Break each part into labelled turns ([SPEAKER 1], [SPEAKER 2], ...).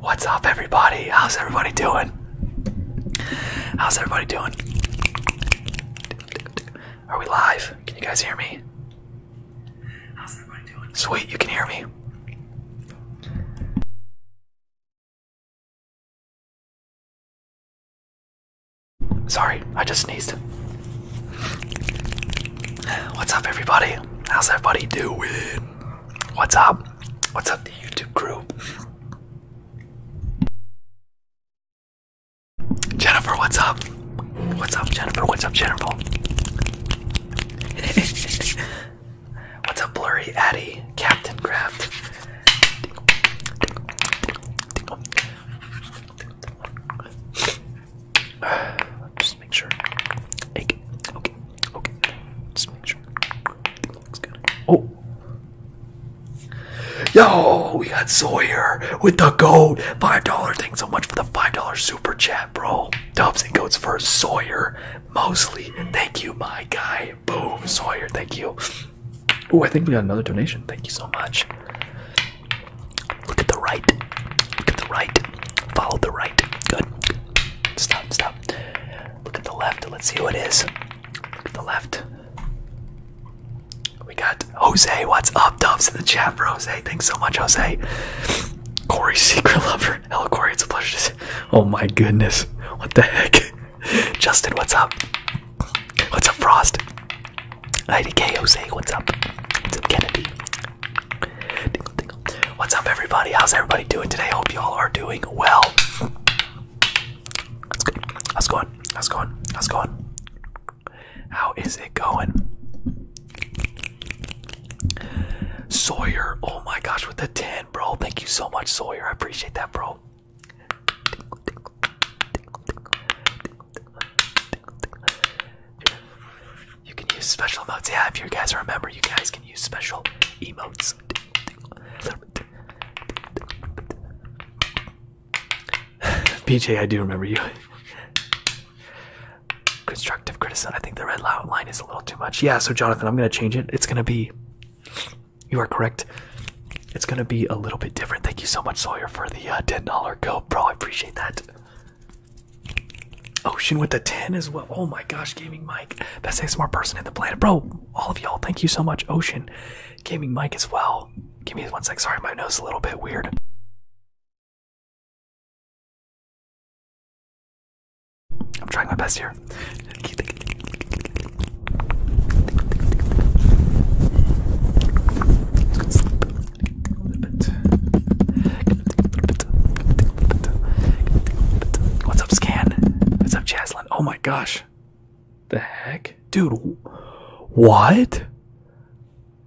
[SPEAKER 1] What's up, everybody? How's everybody doing? How's everybody doing?
[SPEAKER 2] Are we live? Can you guys hear me?
[SPEAKER 1] Sweet, you can hear me. Sorry, I just sneezed. What's up, everybody? How's everybody doing? What's up? What's up, the YouTube crew? Jennifer, what's up? What's up, Jennifer? What's
[SPEAKER 2] up, Jennifer? what's up, Blurry Addy? Captain Craft. Just make sure. Okay, okay, Just make sure. Looks good. Oh, Yo, we got Sawyer with the goat. $5. thing. so much for the $5 super chat, bro. Dubs and goats for Sawyer. Mosley, Thank you, my guy. Boom, Sawyer. Thank you. Oh, I think we got another donation. Thank you so much. Look at the right. Look at the right. Follow the right. Good. Stop, stop. Look at the left. Let's see who it is the left. We got Jose. What's up, Dubs in the chat Jose? Thanks so much, Jose. Corey, secret lover. Hello, Corey. It's a pleasure to see. Oh my goodness. What the heck? Justin, what's up? What's up, Frost? IDK Jose, what's up? What's up, Kennedy? What's up, everybody? How's everybody doing today? Hope you all are doing well. That's good. How's going How's it going? How's it going? How is it going? Sawyer, oh my gosh, with the 10, bro. Thank you so much, Sawyer. I appreciate that, bro. You can use special emotes. Yeah, if you guys remember, you guys can use special emotes. PJ, I do remember you. Constructive criticism. I think the red line is a little too much. Yeah, so Jonathan, I'm going to change it. It's going to be. You are correct. It's going to be a little bit different. Thank you so much, Sawyer, for the uh, $10 GoPro. I appreciate that. Ocean oh, with the 10 as well. Oh my gosh, Gaming Mike. Best smart person in the planet. Bro, all of y'all, thank you so much, Ocean gaming mic
[SPEAKER 1] as well. Give me one sec. Sorry, my nose is a little bit weird. I'm trying my best here.
[SPEAKER 2] What's up, Scan? What's up, Jaslyn? Oh my gosh. The heck? Dude, what?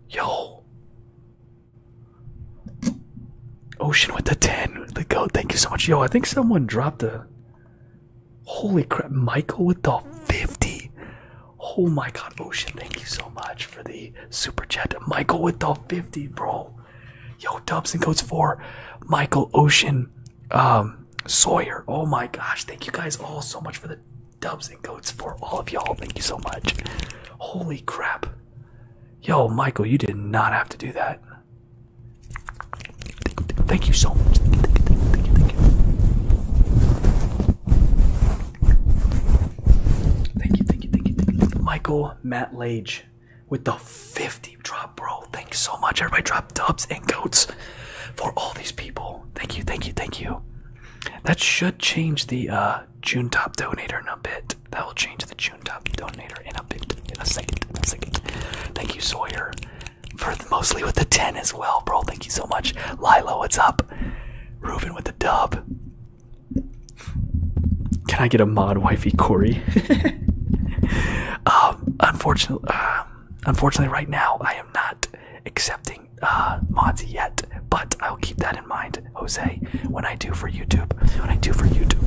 [SPEAKER 2] Yo. Ocean with the 10. The goat. Thank you so much. Yo, I think someone dropped a. Holy crap. Michael with the 50. Oh my god. Ocean, thank you so much for the super chat. Michael with the 50, bro. Yo, Dubs and Goats for Michael Ocean um, Sawyer. Oh my gosh. Thank you guys all so much for the dubs and goats for all of y'all. Thank you so much. Holy crap. Yo, Michael, you did not have to do that. Thank you so much. Thank you, thank you, thank you, thank you, thank you, thank you. Michael Matt Lage with the 50 drop, bro. Thank you so much. Everybody drop dubs and goats for all these people. Thank you, thank you, thank you. That should change the uh, June top donator in a bit. That will change the June top donator in a bit, in a second, in a second. Thank you, Sawyer, for mostly with the 10 as well, bro. Thank you so much. Lilo. what's up? Reuben with the dub. Can I get a mod, wifey Corey? um, unfortunately, um, unfortunately, right now I am not accepting uh, mods yet, but I'll keep that in mind, Jose, when I do for YouTube. When I do for YouTube.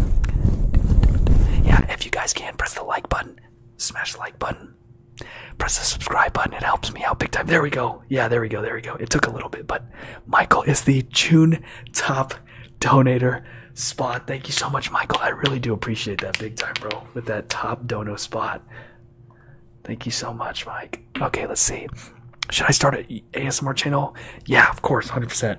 [SPEAKER 2] Yeah, if you guys can, press the like button. Smash the like button. Press the subscribe button. It helps me out big time. There we go. Yeah, there we go. There we go. It took a little bit, but Michael is the June top donator spot. Thank you so much, Michael. I really do appreciate that big time, bro, with that top donor spot. Thank you so much, Mike. Okay, let's see. Should I start an ASMR channel? Yeah, of course, 100%.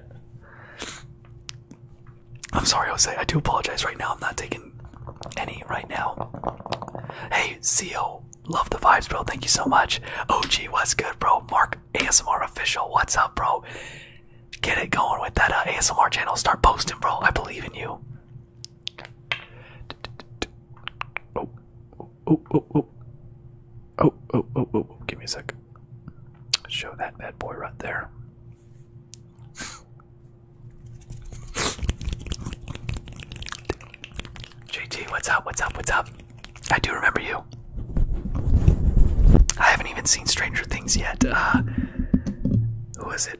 [SPEAKER 2] I'm sorry, Jose. I do apologize right now. I'm not taking any right now. Hey, CEO, love the vibes, bro. Thank you so much. OG, what's good, bro? Mark, ASMR official, what's up, bro? Get it going with that uh, ASMR channel. Start posting, bro. I believe in you. Oh, oh, oh, oh, oh, oh, oh, oh, oh, oh, give me a sec. Show that bad boy right there. JT, what's up? What's up? What's up? I do remember you. I haven't even seen Stranger Things yet. Uh, who was it?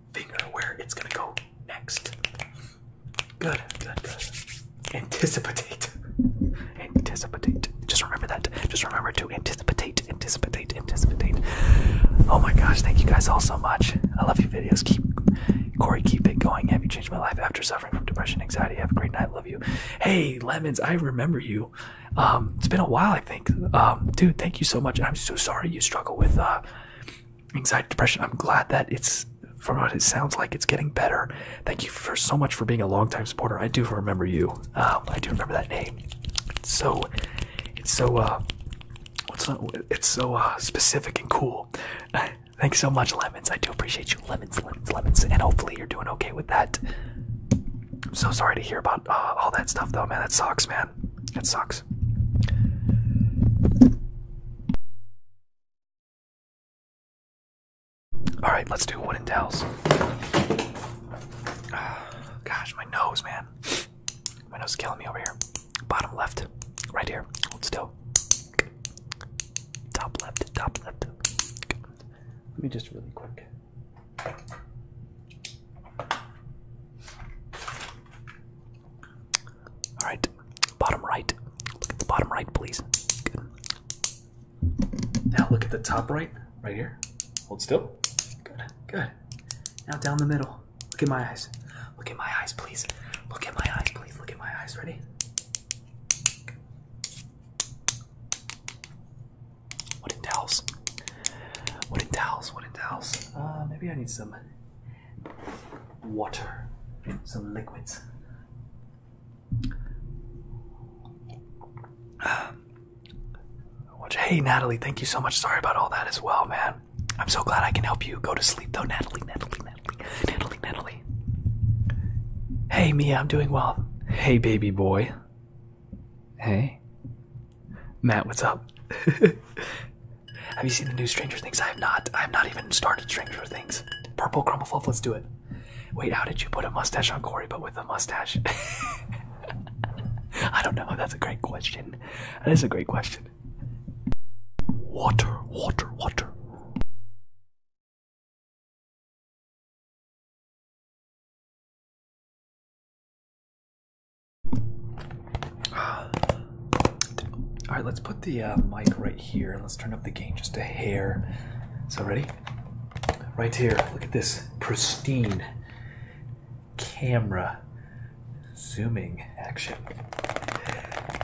[SPEAKER 2] finger where it's gonna go next. Good, good, good. Anticipate. anticipate. Just remember that. Just remember to anticipate, anticipate, anticipate. Oh my gosh, thank you guys all so much. I love your videos. Keep Corey, keep it going. Have you changed my life after suffering from depression, anxiety? Have a great night. Love you. Hey, Lemons, I remember you. Um, it's been a while, I think. Um, dude thank you so much i'm so sorry you struggle with uh anxiety depression i'm glad that it's from what it sounds like it's getting better thank you for so much for being a longtime supporter i do remember you um, i do remember that name it's so it's so uh, it's so uh, specific and cool thanks so much lemons i do appreciate you lemons lemons lemons and hopefully you're doing okay with that i'm so sorry to hear about uh, all that stuff though man that
[SPEAKER 1] sucks man it sucks. All right, let's do wooden towels.
[SPEAKER 2] Ah, gosh, my nose, man. My nose is killing me over here. Bottom left, right here. Hold still. Top left, top left. Let me just really quick. All right, bottom right. Look at the bottom right, please. Good. Now look at the top right, right here. Hold still. Good, good. Now down the middle. Look at my eyes. Look at my eyes, please. Look at my eyes, please. Look at my eyes. Ready? Wooden towels. Wooden towels. Wooden towels. Uh, maybe I need some some water, some liquids. Hey, Natalie, thank you so much. Sorry about all that as well, man. I'm so glad I can help you go to sleep, though, Natalie, Natalie, Natalie, Natalie, Natalie. Hey, Mia, I'm doing well. Hey, baby boy. Hey. Matt, what's up? Have you seen the new Stranger Things? I have not. I have not even started Stranger Things. Purple crumble fluff. Let's do it. Wait, how did you put a mustache on Corey, but with a mustache?
[SPEAKER 1] I don't know. That's a great question. That is a great question. Water, water, water. All right, let's put the uh, mic right here and let's turn up the gain
[SPEAKER 2] just a hair. So, ready? Right here, look at this pristine camera zooming action.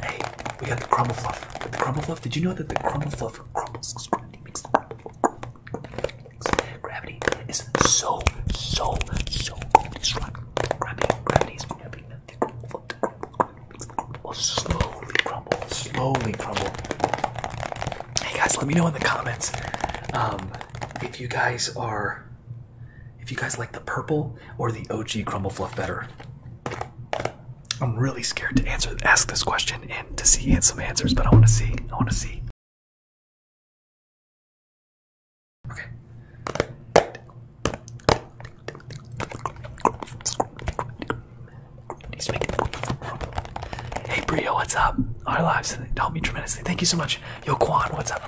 [SPEAKER 2] Hey, we got the crumble fluff. The crumble fluff. Did you know that the crumble fluff crumbles? Gravity makes the crumble. Gravity is so, so, so cool grabbing, slowly crumble, slowly crumble. Hey guys, let me know in the comments um, if you guys are, if you guys like the purple or the OG crumble fluff better. I'm really scared to answer,
[SPEAKER 1] ask this question and to see some answers, but I want to see, I want to see.
[SPEAKER 2] Hey Brio, what's up? Our lives helped me tremendously. Thank you so much. Yo Quan, what's up?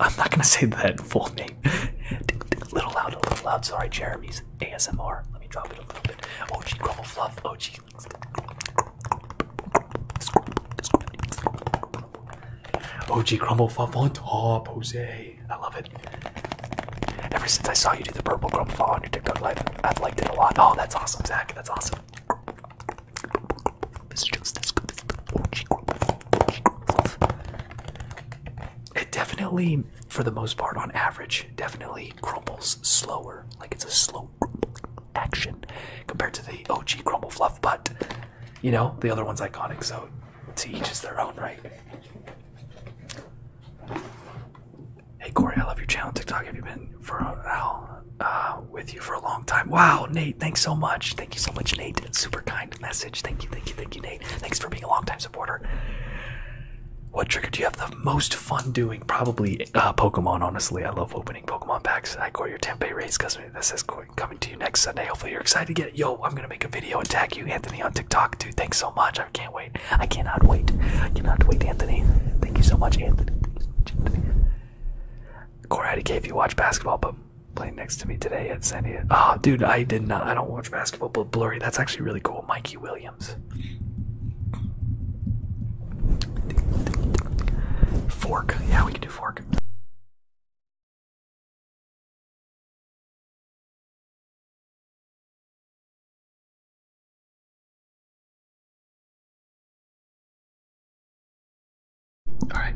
[SPEAKER 2] I'm not gonna say that full name. a little loud, a little loud. Sorry, Jeremy's ASMR. Let me drop it a little bit. OG Crumble Fluff. OG. OG crumble fluff on top, Jose. I love it. Ever since I saw you do the purple crumble fall on your TikTok live, I've liked it a lot. Oh, that's awesome, Zach. That's awesome. It definitely, for the most part, on average, definitely crumbles slower. Like it's a slow action compared to the OG crumble fluff, but you know, the other one's iconic, so to each his own, right? Hey Corey, I love your channel. TikTok, have you been for Al uh, with you for a long time? Wow, Nate, thanks so much. Thank you so much, Nate. Super kind message. Thank you, thank you, thank you, Nate. Thanks for being a long time supporter. What trigger do you have the most fun doing? Probably uh, Pokemon. Honestly, I love opening Pokemon packs. I got your Tempe race custom. That says coming to you next Sunday. Hopefully you're excited to get it. Yo, I'm gonna make a video and tag you, Anthony, on TikTok, dude. Thanks so much. I can't wait. I cannot wait. I cannot wait, Anthony. Thank you so much, Anthony. Corey if you watch basketball, but playing next to me today at San Oh, dude, I did not. I don't watch basketball, but blurry. That's actually really cool. Mikey Williams.
[SPEAKER 1] Fork. Yeah, we can do fork. All right.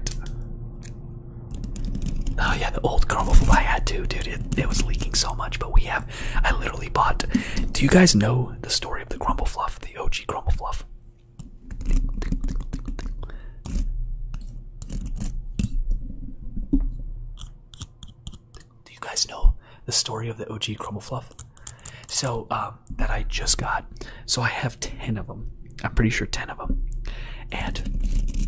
[SPEAKER 1] Oh yeah, the old Chromable I had to, dude. It, it was leaking so much, but we have. I literally bought.
[SPEAKER 2] Do you guys know the story of the Crumble Fluff, the OG Crumble Fluff? Do you guys know the story of the OG Crumble Fluff? So um, that I just got. So I have ten of them. I'm pretty sure ten of them. And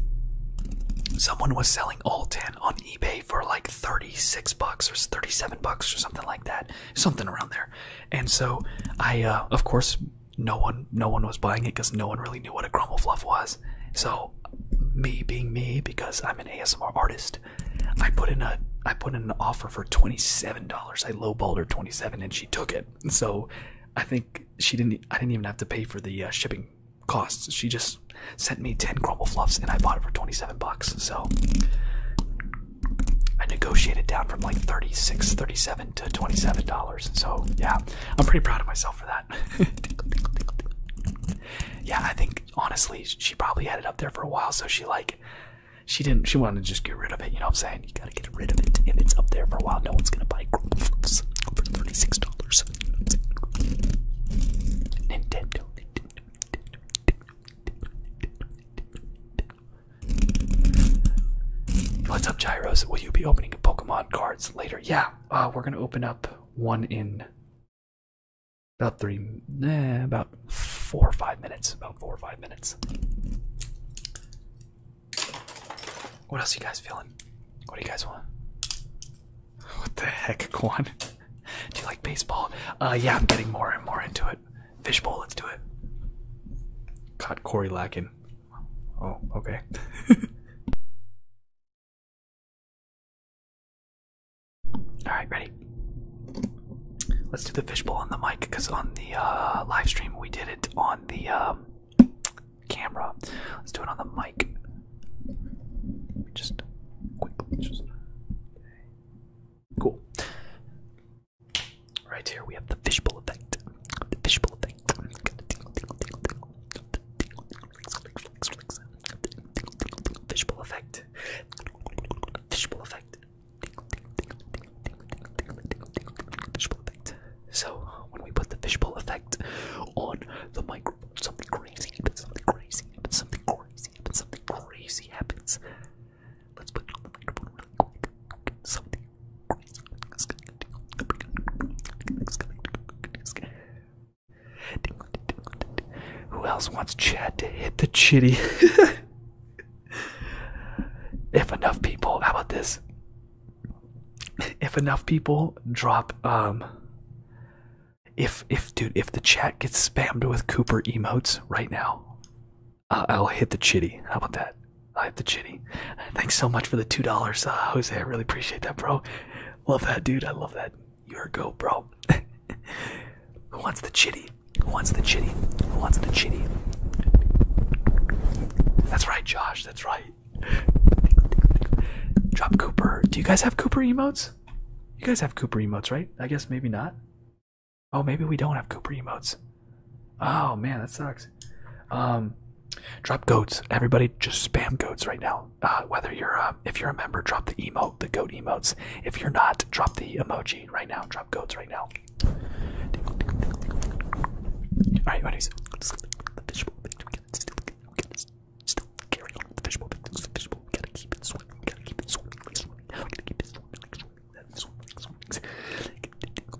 [SPEAKER 2] someone was selling all ten on eBay for like thirty-six bucks or thirty-seven bucks or something like that, something around there. And so I, uh, of course, no one no one was buying it because no one really knew what a crumble fluff was. So me being me because I'm an ASMR artist, I put in a I put in an offer for $27. I lowballed her 27 and she took it. So I think she didn't I didn't even have to pay for the uh, shipping costs. She just sent me 10 crumble fluffs and I bought it for 27 bucks. So I negotiated down from like 36, 37 to $27. So yeah, I'm pretty proud of myself for that. Yeah, I think honestly, she probably had it up there for a while. So she like, she didn't, she wanted to just get rid of it. You know what I'm saying? You gotta get rid of it. If it's up there for a while, no one's gonna buy Grubs for $36. Nintendo. What's up, Gyros? Will you be opening Pokemon cards? later. Yeah, uh, we're gonna open up one in about three, eh, about four or five minutes. About four or five minutes. What else you guys feeling? What do you guys want? What the heck, Kwan? do you like baseball? Uh, yeah, I'm getting more and more
[SPEAKER 1] into it. Fishbowl, let's do it.
[SPEAKER 2] Caught Corey lacking.
[SPEAKER 1] Oh, okay. Alright, ready? Let's do the fishbowl on the mic because on
[SPEAKER 2] the uh, live stream we did it on the um, camera. Let's do it on the mic. Just quickly. Cool. Right here we have the fishbowl effect. The fishbowl effect. Fishbowl effect. Fishbowl effect. Fishbowl effect. So when we put the fishbowl effect on the microphone, something crazy happens. Something crazy happens. Something crazy happens. Something crazy happens. Let's put it on the microphone who else wants Chad to hit the chitty? if enough people, how about this? If enough people drop, um, if if dude, if the chat gets spammed with Cooper emotes right now, I'll hit the chitty. How about that? I have the chitty. Thanks so much for the two dollars, uh, Jose. I really appreciate that, bro. Love that, dude. I love that. Your go, bro. Who wants the chitty? Who wants the chitty? Who wants the chitty? That's right, Josh. That's right. Drop Cooper. Do you guys have Cooper emotes? You guys have Cooper emotes, right? I guess maybe not. Oh, maybe we don't have Cooper emotes. Oh man, that sucks. Um, Drop goats. Everybody just spam goats right now. Uh, whether you're uh, if you're a member, drop the emote, the goat emotes. If you're not, drop the emoji right now. Drop goats right now. Alright, anyways. Oh,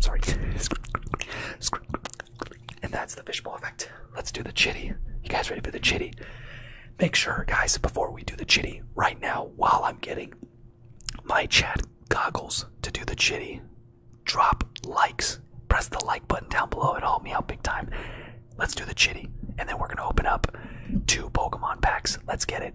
[SPEAKER 2] sorry. And that's the fishbowl effect. Let's do the chitty. You guys ready for the chitty? Make sure, guys, before we do the chitty, right now, while I'm getting my chat goggles to do the chitty, drop likes. Press the like button down below. It'll help me out big time. Let's do the chitty. And then we're going to open
[SPEAKER 1] up two Pokemon packs. Let's get it.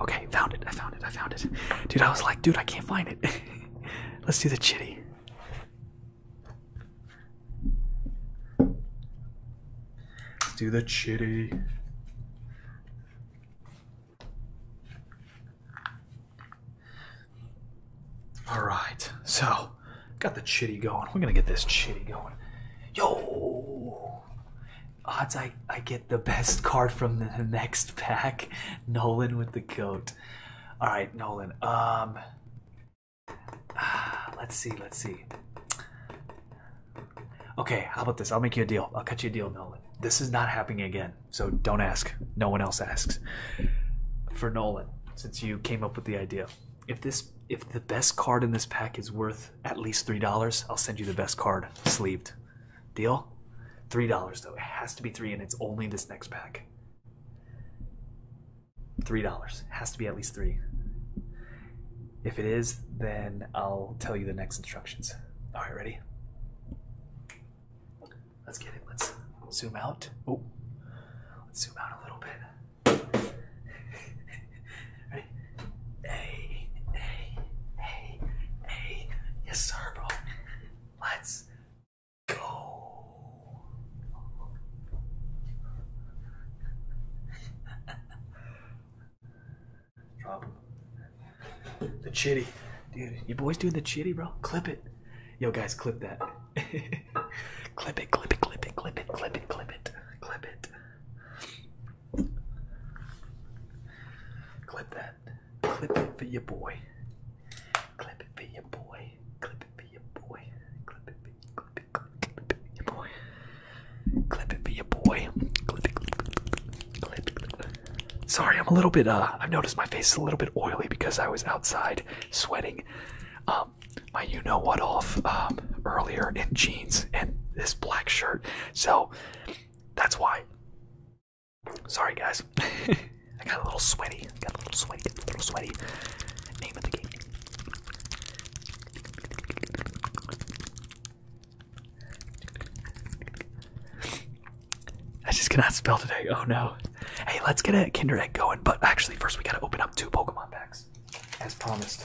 [SPEAKER 1] Okay, found it. I found it. I found it. Dude, I was like, dude,
[SPEAKER 2] I can't find it. Let's do the chitty. Let's do the chitty. All right, so got the chitty going. We're gonna get this chitty going. Yo, odds I I get the best card from the next pack. Nolan with the goat. All right, Nolan. Um, ah, let's see, let's see. Okay, how about this? I'll make you a deal. I'll cut you a deal, Nolan. This is not happening again, so don't ask. No one else asks. For Nolan, since you came up with the idea, if this if the best card in this pack is worth at least three dollars, I'll send you the best card sleeved. Deal? Three dollars though. It has to be three, and it's only this next pack. Three dollars has to be at least three. If it is, then I'll tell you the next instructions. All right, ready? Let's get it. Let's zoom out. Oh, let's zoom out a little bit. ready? Hey, hey, hey, hey. Yes, sir, bro. Let's go. Drop him. The chitty. Dude, you boys doing the chitty, bro? Clip it. Yo, guys, clip that. clip it, clip it, clip it, clip it, clip it, clip it, clip it. Clip that. Clip it for your boy. Clip it for your boy. Clip it for your boy. Clip it for your, clip it, clip it, clip it for your boy. Clip it for your boy. Sorry, I'm a little bit, uh, I've noticed my face is a little bit oily because I was outside sweating um, my you know what off um, earlier in jeans and this black shirt. So that's why. Sorry, guys. I got a little sweaty. Got a little sweaty. Got a little sweaty. Name of the game. I just cannot spell today. Oh no. Hey, let's get a Kinder Egg going. But actually, first we gotta open up two Pokemon packs, as promised.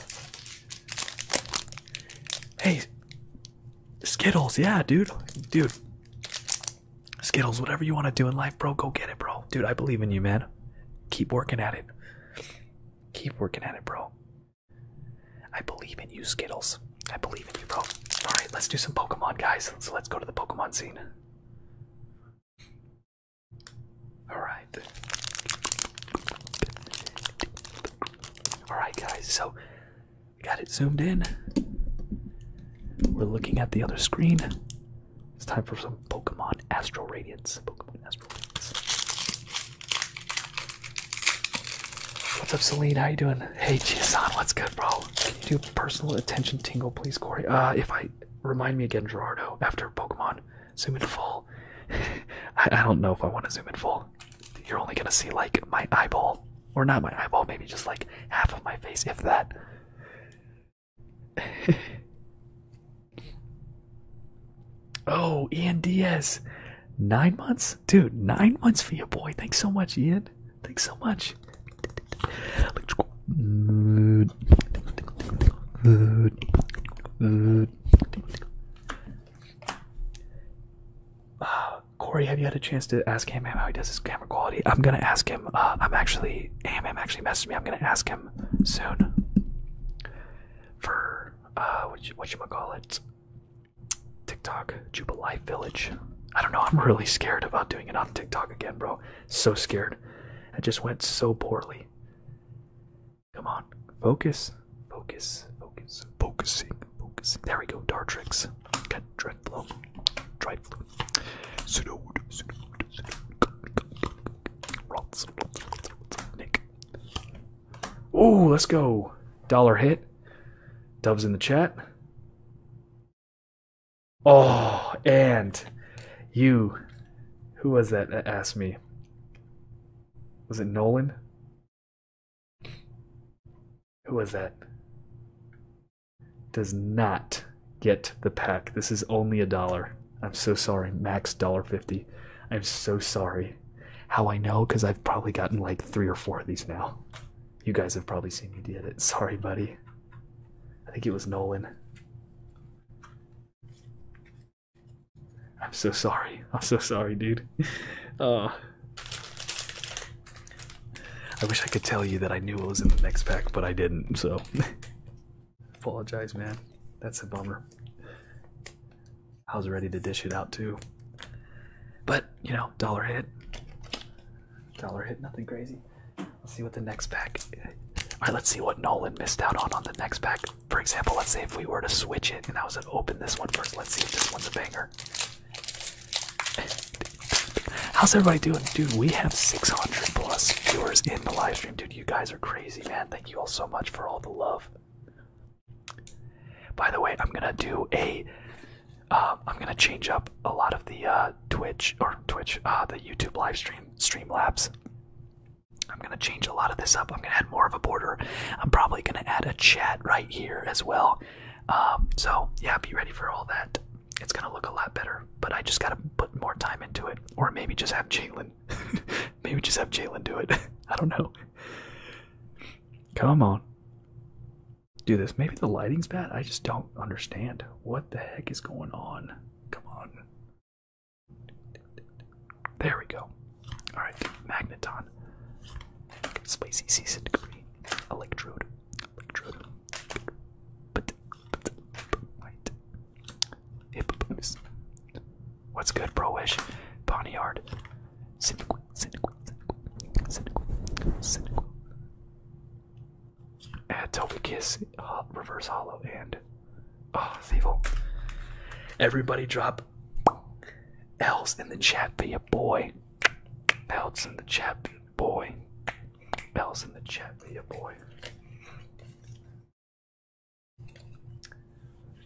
[SPEAKER 2] Hey, Skittles. Yeah, dude. Dude. Skittles, whatever you want to do in life, bro, go get it, bro. Dude, I believe in you, man. Keep working at it. Keep working at it, bro. I believe in you, Skittles. I believe in you, bro. Alright, let's do some Pokemon, guys. So let's go to the Pokemon scene. Alright. Alright, guys, so we got it zoomed in. We're looking at the other screen. It's time for some Pokemon Astral Radiance. Pokemon Astral Radiance. What's up, Celine? How you doing? Hey, Chisan, what's good, bro? Can you do personal attention tingle, please, Corey? Uh, if I remind me again, Gerardo, after Pokemon, zoom in full. I don't know if I want to zoom in full. You're only gonna see like my eyeball, or not my eyeball, maybe just like half of my face, if that. Oh, Ian Diaz. Nine months? Dude, nine months for you, boy. Thanks so much, Ian. Thanks so much. Uh, Corey, have you had a chance to ask him how he does his camera quality? I'm gonna ask him. Uh, I'm actually, AMM actually messaged me. I'm gonna ask him soon. For uh, what you, what you call it? TikTok, Jubilee Village. I don't know. I'm really scared about doing it on TikTok again, bro. So scared. I just went so poorly. Come on, focus, focus, focus, focusing, focusing. There we go. Dartrix, get dreadflow, dreadflow. Pseudo, pseudo, pseudo. Rots, rots, Nick, Oh, let's go. Dollar hit. Dubs in the chat. Oh, and you. Who was that that asked me? Was it Nolan? Who was that? Does not get the pack. This is only a dollar. I'm so sorry. Max dollar fifty. I'm so sorry. How I know, because I've probably gotten like three or four of these now. You guys have probably seen me did it. Sorry, buddy. I think it was Nolan. I'm so sorry. I'm so sorry, dude. Uh, I wish I could tell you that I knew it was in the next pack, but I didn't, so. Apologize, man. That's a bummer. I was ready to dish it out too. But, you know, dollar hit. Dollar hit, nothing crazy. Let's see what the next pack. Alright, let's see what Nolan missed out on on the next pack. For example, let's say if we were to switch it and I was to open this one first. Let's see if this one's a banger. How's everybody doing? Dude, we have 600 plus viewers in the live stream. Dude, you guys are crazy, man. Thank you all so much for all the love. By the way, I'm gonna do ai uh, am gonna change up a lot of the uh, Twitch or Twitch, uh, the YouTube live stream, Streamlabs. I'm gonna change a lot of this up. I'm gonna add more of a border. I'm probably gonna add a chat right here as well. Um, so yeah, be ready for all that. It's gonna look a lot better, but I just gotta put more time into it, or maybe just have Jalen. maybe just have Jalen do it. I don't know. Come on do this. Maybe the lighting's bad. I just don't understand. What the heck is going on? Come on. There we go. Alright, magneton. Spicy season degree. Electrode. Electrode. But What's good, bro wish? Bonnyard. Add cynical, cynical, kiss, reverse hollow, and oh, it's evil. Everybody drop L's in the chat for your boy. L's in the chat for your boy. L's in the chat for your boy.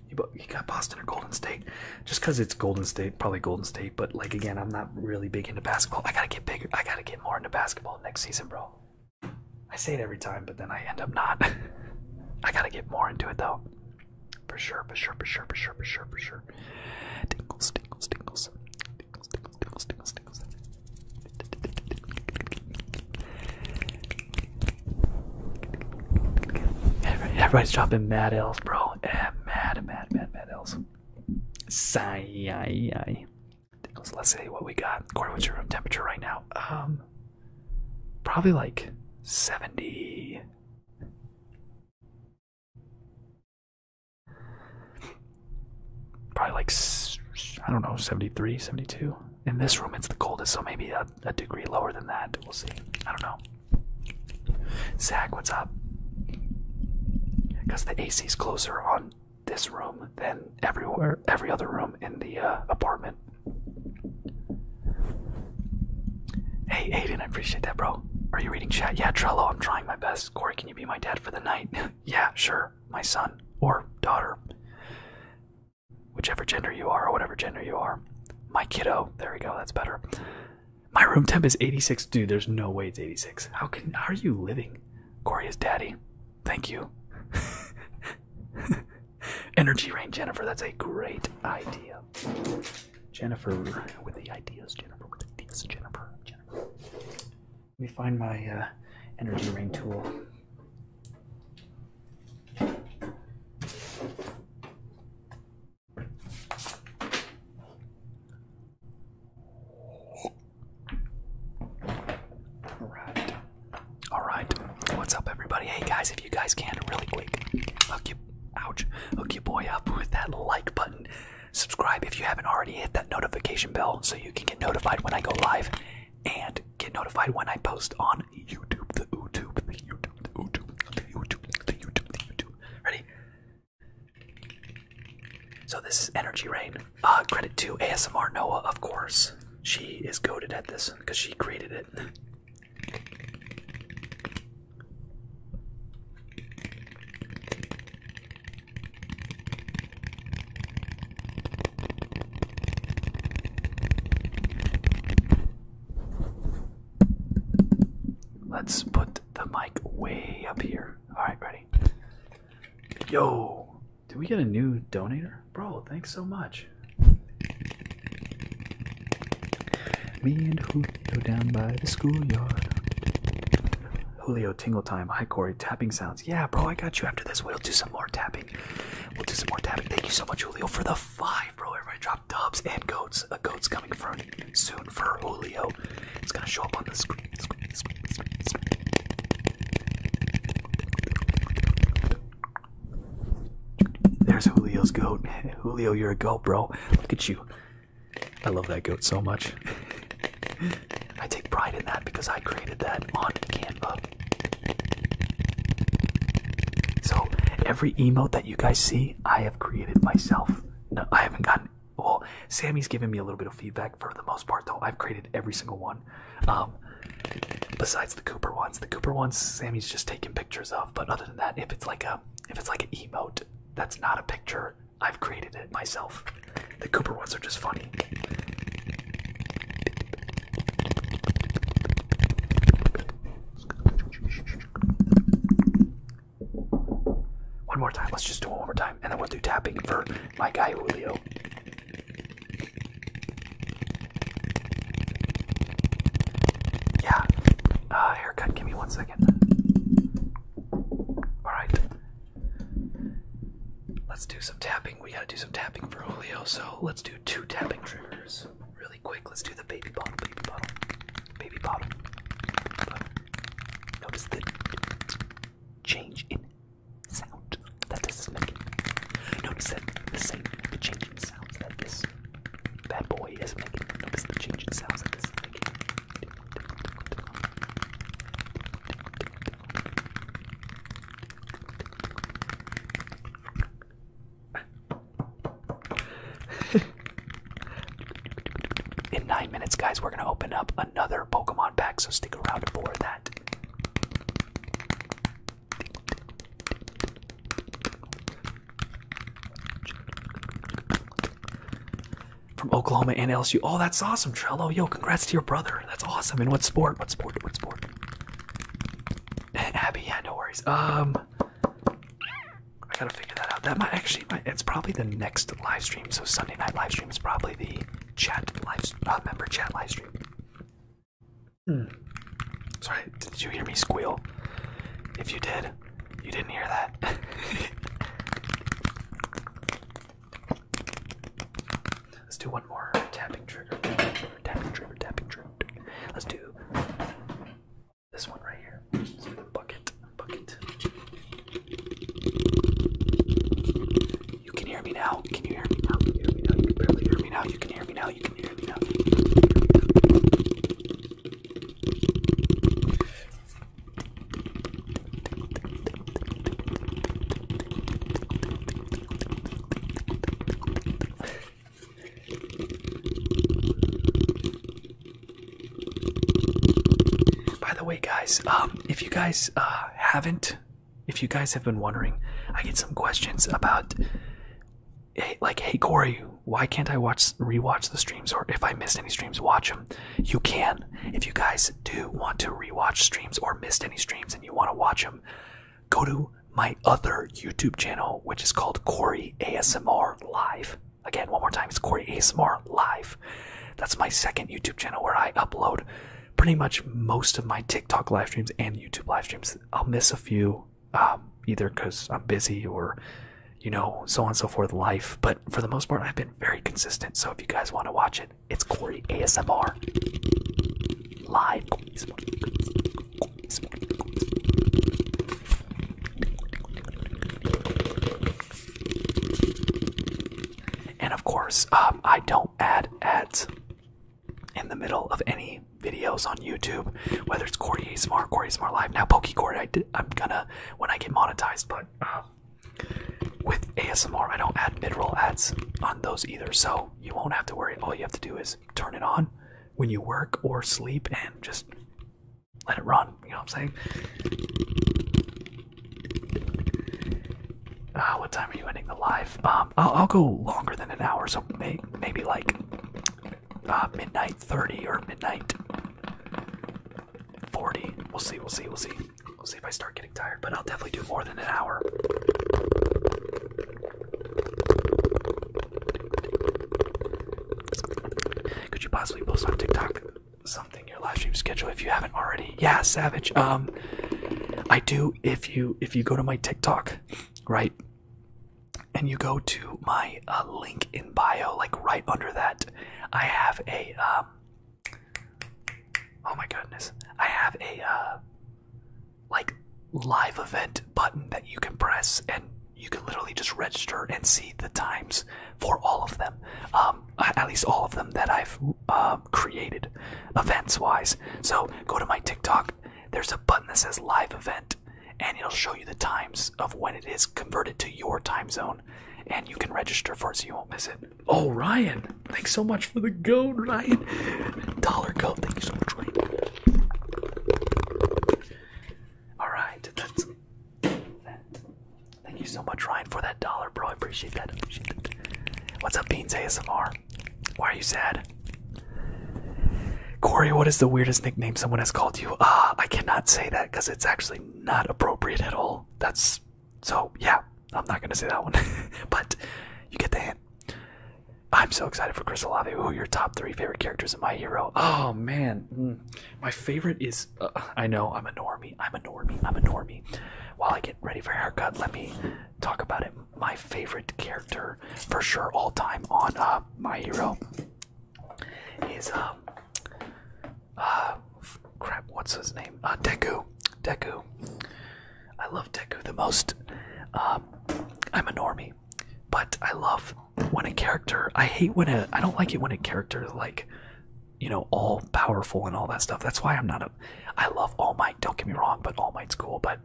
[SPEAKER 2] You, you got Boston or Golden State, just because it's Golden State, probably Golden State. But like again, I'm not really big into basketball. I gotta get bigger. I gotta get more into basketball next season, bro. I say it every time, but then I end up not. I gotta get more into it though, for sure, for sure, for sure, for sure, for sure, for sure. Tingles, tingles, tingles, tingles, tingles, tingles, tingles. Everybody's dropping mad L's, bro. Eh, mad, mad, mad, mad, mad elves. Sigh. let's see what we got. Corey, what's your room temperature right now? Um, probably like
[SPEAKER 1] 70. Probably like, I don't know, 73,
[SPEAKER 2] 72. In this room, it's the coldest, so maybe a degree lower than that. We'll see. I don't know. Zach, what's up? Because the AC is closer on this room than everywhere, every other room in the uh, apartment. Hey, Aiden, I appreciate that, bro. Are you reading chat? Yeah, Trello, I'm trying my best. Corey, can you be my dad for the night? yeah, sure. My son or daughter. Whichever gender you are, or whatever gender you are. My kiddo. There we go, that's better. My room temp is 86. Dude, there's no way it's 86. How can are you living? Corey's daddy. Thank you. Energy ring, Jennifer. That's a great idea. Jennifer with the ideas. Jennifer with the ideas. Jennifer. Jennifer. Let me find my uh, energy ring tool. All right. All right. What's up, everybody? Hey, guys, if you guys can, really quick, hook you, ouch, hook your boy up with that like button. Subscribe if you haven't already. Hit that notification bell so you can get notified when I go live and get notified when I post on YouTube. The YouTube, the YouTube, the YouTube, the YouTube, the YouTube, the YouTube. Ready? So this is Energy Rain. Uh, credit to ASMR Noah, of course. She is goaded at this because she created it. Let's put the mic way up here. All right, ready? Yo, did we get a new donor, Bro, thanks so much. Me and Julio down by the schoolyard. Julio tingle time. Hi Corey, tapping sounds. Yeah, bro, I got you after this. We'll do some more tapping. We'll do some more tapping. Thank you so much, Julio, for the five, bro. Everybody drop got Dubs and Goats. A Goats coming from soon for Julio. It's gonna show up on the screen. screen. There's Julio's goat. Julio, you're a goat, bro. Look at you. I love that goat so much. I take pride in that because I created that on Canva. So every emote that you guys see, I have created myself. No, I haven't gotten well, Sammy's giving me a little bit of feedback for the most part, though. I've created every single one. Um, besides the Cooper ones, the Cooper ones Sammy's just taking pictures of. But other than that, if it's like a if it's like an emote that's not a picture, I've created it myself. The Cooper ones are just funny. One more time. Let's just do it one more time, and then we'll do tapping for my guy Julio.
[SPEAKER 1] Yeah. Uh,
[SPEAKER 2] haircut. Give me one second. All right. Let's do some tapping. We gotta do some tapping for Julio. So let's do two tapping triggers really quick. Let's do the baby bottle, baby bottle, baby bottle. Notice the change in sound that this is making. Notice that the same the change in sounds that this bad boy is making. Notice the change in sounds that this is making. In nine minutes, guys, we're gonna open up another Pokemon pack, so stick around for that. From Oklahoma and LSU. Oh, that's awesome, Trello. Yo, congrats to your brother. That's awesome. And what sport? What sport? What sport? Abby, yeah, no worries. Um, I gotta figure that out. That might actually, might, it's probably the next live stream. So Sunday night live stream is probably the chat live, uh, member chat live stream. Hmm. Sorry, did you hear me squeal? If you did, you didn't hear that. Let's do one more Tapping trigger, tapping trigger. Tapping trigger. Let's do this one right here. bucket. Bucket. You can hear me now. Can you hear me now? Can hear me now? You can hear me now. You can hear me now. You can hear me now. By the way, guys, um, if you guys uh, haven't, if you guys have been wondering, I get some questions about, like, hey Corey, why can't I watch rewatch the streams? Or if I missed any streams, watch them. You can. If you guys do want to rewatch streams or missed any streams and you want to watch them, go to my other YouTube channel, which is called Corey ASMR Live. Again, one more time, it's Corey ASMR Live. That's my second YouTube channel where I upload pretty much most of my TikTok live streams and YouTube live streams. I'll miss a few, um, either because I'm busy or, you know, so on and so forth, life. But for the most part, I've been very consistent. So if you guys want to watch it, it's Corey ASMR Live. And of course, um, I don't add ads in the middle of any videos on YouTube, whether it's Corey Smart, Corey Smart Live. Now, Pokecord, I I'm gonna when I get monetized, but um, with ASMR, I don't add mid-roll ads on those either, so you won't have to worry. All you have to do is turn it on when you work or sleep, and just let it run. You know what I'm saying? Uh, what time are you ending the live? Um, I'll, go longer than an hour, so may, maybe like uh, midnight 30 or midnight 40. We'll see, we'll see, we'll see. We'll see if I start getting tired, but I'll definitely do more than an hour. Could you possibly post on TikTok? something your live stream schedule if you haven't already. Yeah, Savage. Um, I do. If you if you go to my TikTok, right, and you go to my uh, link in bio, like right under that, I have a um. Oh my goodness, I have a uh, like live event button that you can press and you can literally just register and see the times for all of them, um, uh, at least all of them that I've uh, created events wise. So go to my TikTok, there's a button that says live event, and it'll show you the times of when it is converted to your time zone, and you can register for it so you won't miss it. Oh, Ryan, thanks so much for the goat, Ryan. Dollar goat, thank you so much, Ryan. All right, Thank you so much, Ryan, for that dollar, bro. I appreciate that. appreciate that. What's up, Beans ASMR? Why are you sad? Corey, what is the weirdest nickname someone has called you? Ah, I cannot say that because it's actually not appropriate at all. That's so, yeah, I'm not going to say that one. but you get the hint. I'm so excited for Chris Olave. Who are your top three favorite characters in My Hero? Oh, man. Mm. My favorite is uh, I know I'm a normie. I'm a normie. I'm a normie. While I get ready for haircut, let me talk about it. My favorite character, for sure, all time on uh, My Hero, is um, uh, crap. What's his name? Uh, Deku. Deku. I love Deku the most. Um, I'm a normie, but I love when a character. I hate when a. I don't like it when a character like you know, all powerful and all that stuff. That's why I'm not a. I love All Might. Don't get me wrong, but All Might's cool. But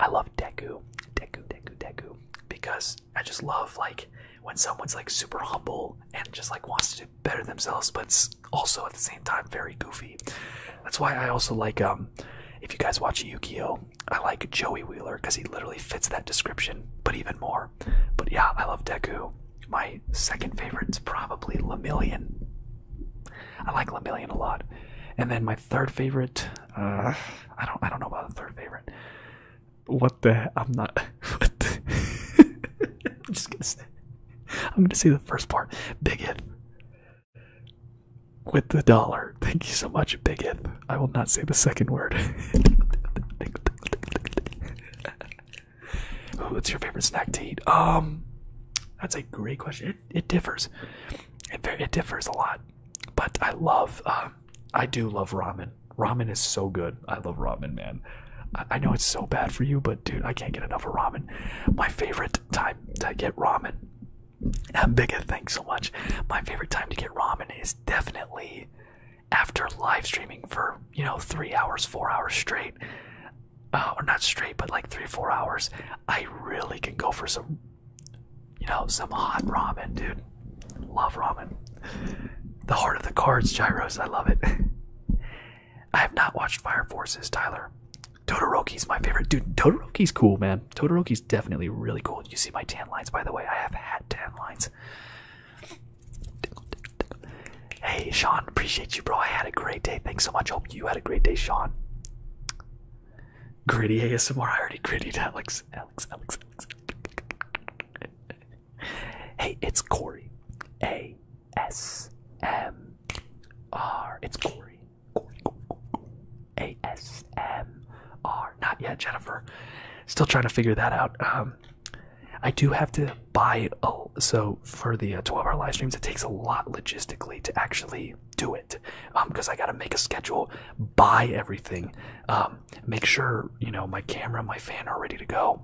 [SPEAKER 2] I love Deku, Deku, Deku, Deku, because I just love like when someone's like super humble and just like wants to do better themselves, but also at the same time very goofy. That's why I also like um, if you guys watch Yu-Gi-Oh, I like Joey Wheeler because he literally fits that description, but even more. But yeah, I love Deku my second favorite is probably Lamillion. I like Lamillion a lot. And then my third favorite, uh, I don't, I don't know about the third favorite. What the? I'm not. I'm just gonna say. I'm gonna say the first part. Bigith. With the dollar. Thank you so much, Bigith. I will not say the second word. What's your favorite snack to eat? Um, that's a great question. It, it differs. It, differs a lot. But I love, um, I do love ramen. Ramen is so good. I love ramen, man. I, know it's so bad for you, but dude, I can't get enough of ramen. My favorite time to get ramen. Bigga, thanks so much. My favorite time to get ramen is definitely after live streaming for you know three hours, four hours straight, uh, or not straight, but like three, four hours, I really can go for some, you know, some hot ramen, dude. Love ramen. The heart of the cards, gyros. I love it. I have not watched Fire Forces, Tyler. Todoroki's my favorite. Dude, Todoroki's cool, man. Todoroki's definitely really cool. You see my tan lines, by the way. I have had tan lines. Hey, Sean, appreciate you, bro. I had a great day. Thanks so much. Hope you had a great day, Sean. Gritty ASMR. I already gritty Alex. Alex, Alex, Alex. hey, it's Corey. A S M R. It's Corey. Corey, Corey, Corey. A S M R. Not yet, Jennifer. Still trying to figure that out. Um, I do have to buy a, oh, so for the 12-hour uh, live streams, it takes a lot logistically to actually do it because um, I got to make a schedule, buy everything, um, make sure you know my camera, my fan are ready to go.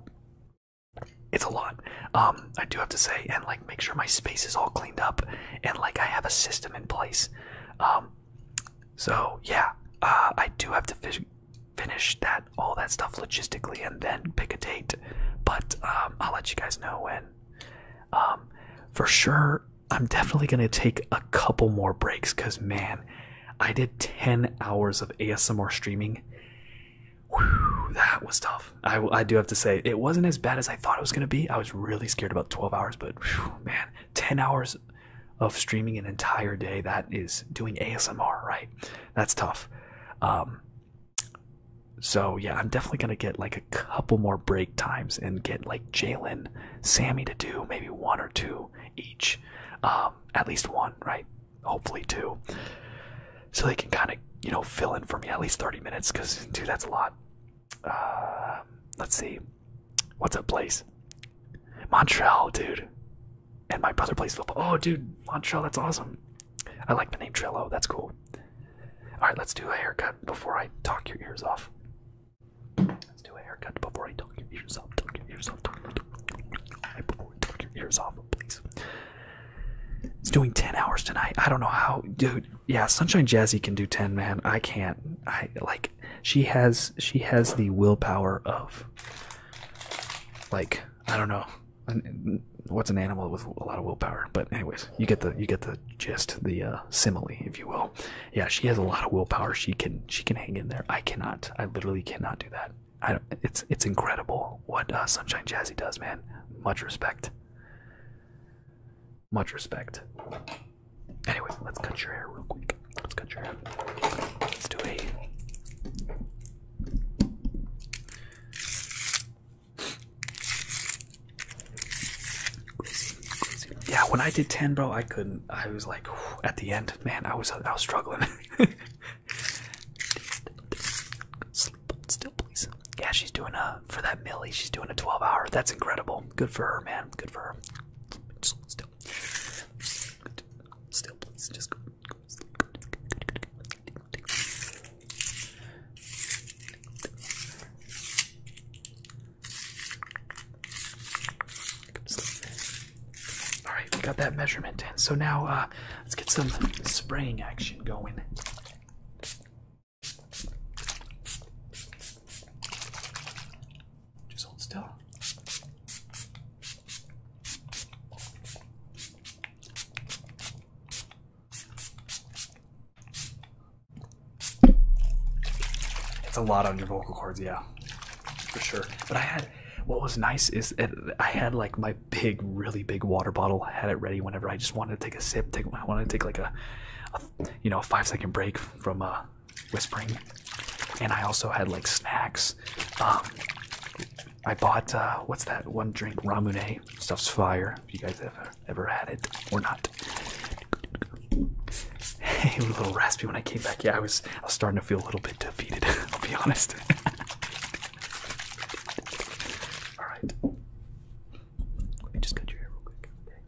[SPEAKER 2] It's a lot. Um, I do have to say, and like make sure my space is all cleaned up, and like I have a system in place. so yeah, uh, I do have to finish that all that stuff logistically and then pick a date. But um, I'll let you guys know when. Um, for sure, I'm definitely gonna take a couple more breaks because man, I did 10 hours of ASMR streaming. that was tough. I, I do have to say, it wasn't as bad as I thought it was gonna be. I was really scared about 12 hours, but man, 10 hours of streaming an entire day that is doing ASMR, right? That's tough. Um, so yeah, I'm definitely gonna get like a couple more break times and get like Jalen, Sammy to do maybe one or two each, um, at least one, right? Hopefully two, so they can kind of you know fill in for me at least 30 minutes because dude, that's a lot. Um, let's see, what's up, place? Montreal, dude and my brother plays football. Oh, dude, Montreal, that's awesome. I like the name Trillo. That's cool. All right, let's do a haircut before I talk your ears off. Let's do a haircut before I talk your ears off. Talk your ears off. Talk, your ears off, please. It's doing 10 hours tonight. I don't know how, dude. Yeah, Sunshine Jazzy can do 10, man. I can't. I like she has she has the willpower of like I don't know. What's an animal with a lot of willpower? But anyways, you get the you get the gist, the uh, simile, if you will. Yeah, she has a lot of willpower. She can she can hang in there. I cannot. I literally cannot do that. I it's it's incredible what uh, Sunshine Jazzy does, man. Much respect. Much respect. Anyways, let's cut your hair real quick. Let's cut your hair. Let's do a yeah, when I did ten, bro, I couldn't. I was like, at the end, man, I was I was struggling. still, please. Yeah, she's doing a for that Millie. She's doing a twelve hour. That's incredible. Good for her, man. Good for her. still, still, please. Just go, all right, we got that measurement in. So now uh, let's get some spraying action going. Just hold still. It's a lot on your vocal cords, yeah, for sure. But I had what was nice is I had like my big, really big water bottle. had it ready whenever I just wanted to take a sip. Take I wanted to take like a, you know, a five second break from uh, whispering. And I also had like snacks. Um, I bought uh, what's that one drink Ramune stuff's fire. If you guys ever ever had it or not. Hey, a little raspy when I came back. Yeah, I was I was starting to feel a little bit defeated. I'll be honest. All right. Let me just cut your hair real quick. Okay.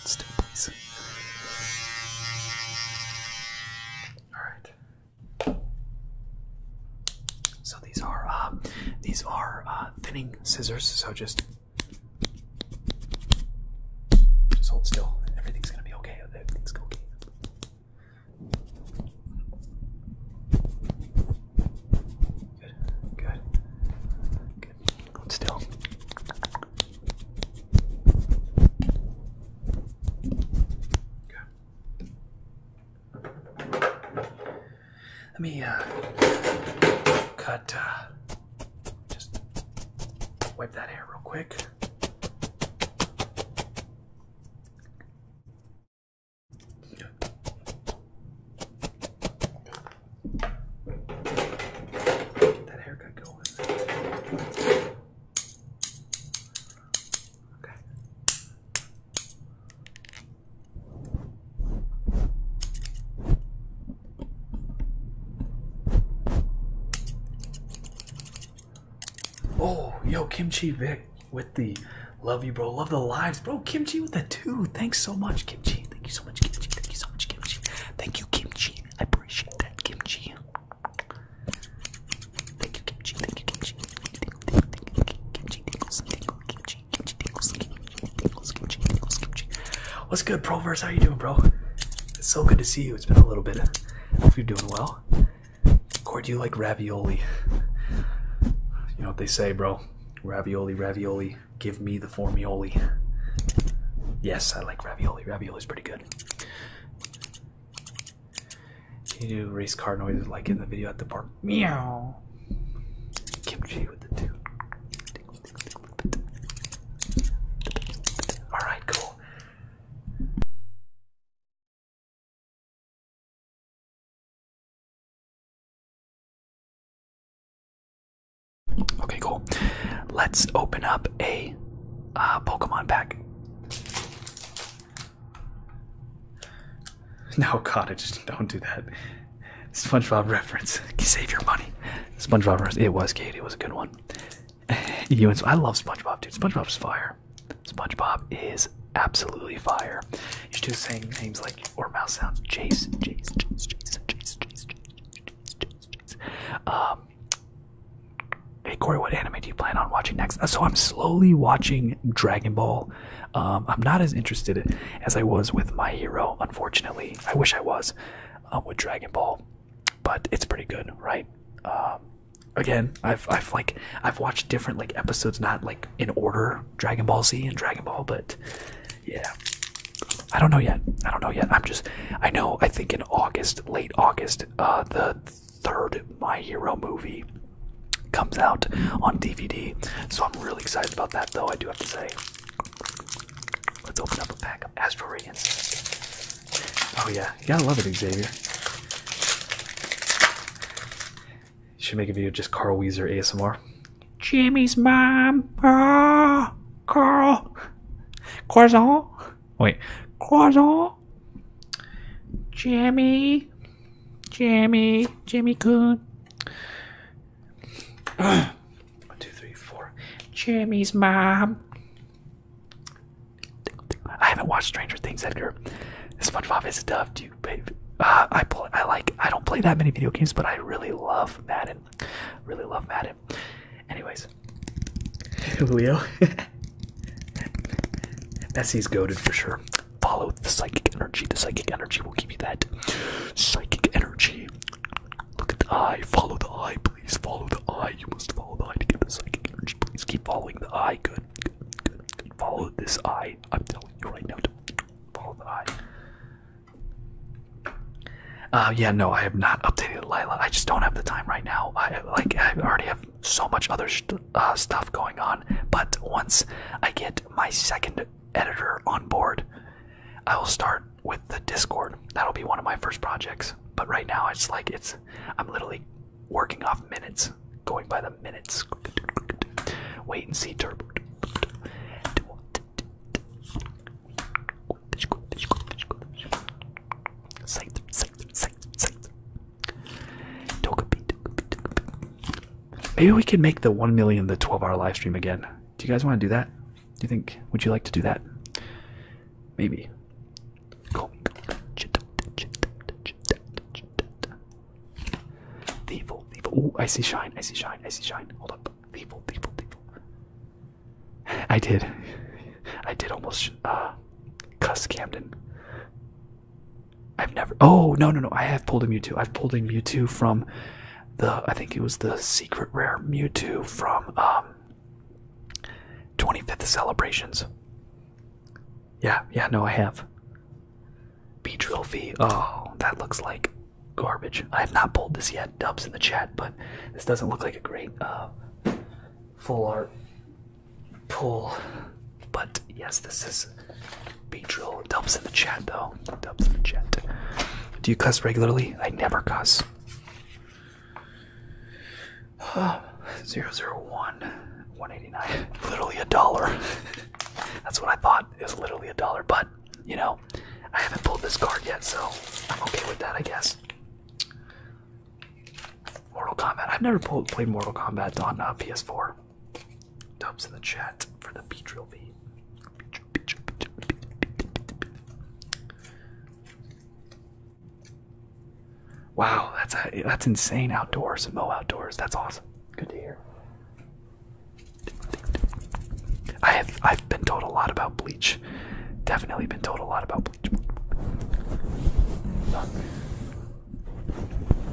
[SPEAKER 1] It's still please. All
[SPEAKER 2] right. So these are uh, these are uh, thinning scissors. So just just hold still. Everything's gonna be okay. Everything's okay. Good, good, good. still. Good. Let me uh, cut. Uh, just wipe that hair real quick. Get that haircut going. Okay. Oh, yo, Kimchi Vic with the love you, bro. Love the lives, bro. Kimchi with the two. Thanks so much, Kimchi. Thank you so much, Kimchi. Thank you so much, Kimchi. Thank you, Kimchi. I appreciate that, Kimchi. Thank you, Kimchi. Thank you, Kimchi. What's good, Proverse? How you doing, bro? It's so good to see you. It's been a little bit. Hope you're doing well. Corey, do you like ravioli? You know what they say, bro. Ravioli, ravioli. Give me the formioli. Yes, I like ravioli. Ravioli is pretty good. you do race car noises like in the video at the park? Meow. Kimchi with the two.
[SPEAKER 1] All right, cool. Okay, cool. Let's open up a uh, Pokemon pack.
[SPEAKER 2] No, God, just don't do that. SpongeBob reference. Save your money. SpongeBob reference. It was good. It was a good one. you and I love SpongeBob, dude. SpongeBob's fire fire. SpongeBob is absolutely fire. You should do saying names like or mouse sounds. Chase, Chase, Chase, Chase, Chase, Chase, Chase, Chase, Chase, Chase. Um. Hey Corey, what anime do you plan on watching next? Uh, so I'm slowly watching Dragon Ball. Um, I'm not as interested as I was with My Hero, unfortunately. I wish I was um, with Dragon Ball, but it's pretty good, right? Um, again, I've I've like I've watched different like episodes, not like in order, Dragon Ball Z and Dragon Ball, but yeah. I don't know yet. I don't know yet. I'm just I know I think in August, late August, uh the third My Hero movie comes out on DVD. So I'm really excited about that though, I do have to say. Let's open up a pack of Astral Oh yeah, you gotta love it, Xavier should make a video just Carl Weezer ASMR. Jimmy's mom. Ah, Carl. Croissant. Wait. Croissant. Jimmy. Jimmy. Jimmy Coon. One, two, three, four. Jimmy's mom. I haven't watched Stranger Things, Edgar. SpongeBob is a dove. Uh, I play. I like. I don't play that many video games, but I really love Madden. Really love Madden. Anyways, Julio, Messi's goaded for sure. Follow the psychic energy. The psychic energy will give you that psychic energy. Look at the eye. Follow the eye, please. Follow the eye. You must follow the eye to get the psychic energy. Please keep following the eye. Good. Follow this eye. I'm telling you right now to follow the eye. Uh, yeah, no, I have not updated Lila. I just don't have the time right now. I like I already have so much other uh, stuff going on. But once I get my second editor on board, I will start with the Discord. That'll be one of my first projects. But right now, it's like it's I'm literally working off minutes, going by the minutes. Wait and see turbo. Maybe we could make the 1 million the 12 hour live stream again. Do you guys want to do that? Do you think, would you like to do that? Maybe. Thievul, Thievul. Ooh, I see shine, I see shine, I see shine. Hold up. Thievul, Thievul, Thievul. I did. I did almost uh, cuss Camden. I've never. Oh, no, no, no. I have pulled a Mewtwo. I've pulled a Mewtwo from the. I think it was the secret rare Mewtwo from um, 25th Celebrations. Yeah, yeah, no, I have. B trophy. Oh, that looks like garbage. I have not pulled this yet. Dubs in the chat, but this doesn't look like a great uh, full art pull. But yes, this is B drill. Dubs in the chat though. Dubs in the chat. Do you cuss regularly? I never cuss. Zero zero one. 189 literally a dollar That's what I thought. It was literally a dollar, but you know, I haven't pulled this card yet, so I'm okay with that, I guess. Mortal Kombat. I've never pulled, played Mortal Kombat on uh, PS4. Dubs in the chat for the B trophy. Wow, that's a, that's insane outdoors, Mo outdoors. That's awesome. Good to hear. I have I've been told a lot about bleach. Definitely been told a lot about bleach.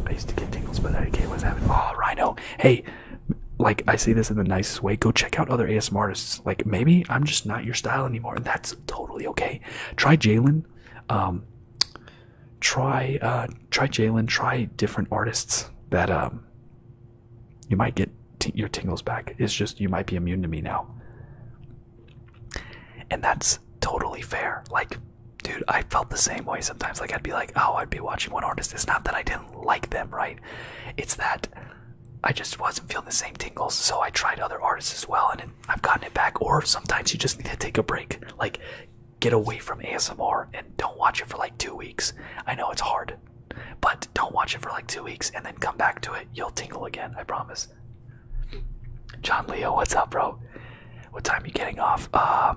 [SPEAKER 2] I used to get tingles, but I do not care what's happening. Oh Rhino. Hey, like I say this in the nicest way. Go check out other ASMR artists. Like maybe I'm just not your style anymore, and that's totally okay. Try Jalen. Um, try uh, try Jalen, try different artists that um, you might get your tingles back. It's just you might be immune to me now, and that's totally fair. Like, dude, I felt the same way sometimes. Like, I'd be like, oh, I'd be watching one artist. It's not that I didn't like them, right? It's that I just wasn't feeling the same tingles, so I tried other artists as well, and I've gotten it back. Or sometimes you just need to take a break. Like, get away from ASMR and don't watch it for like two weeks. I know it's hard, but don't watch it for like two weeks and then come back to it. You'll tingle again, I promise. John Leo, what's up, bro? What time are you getting off? Uh,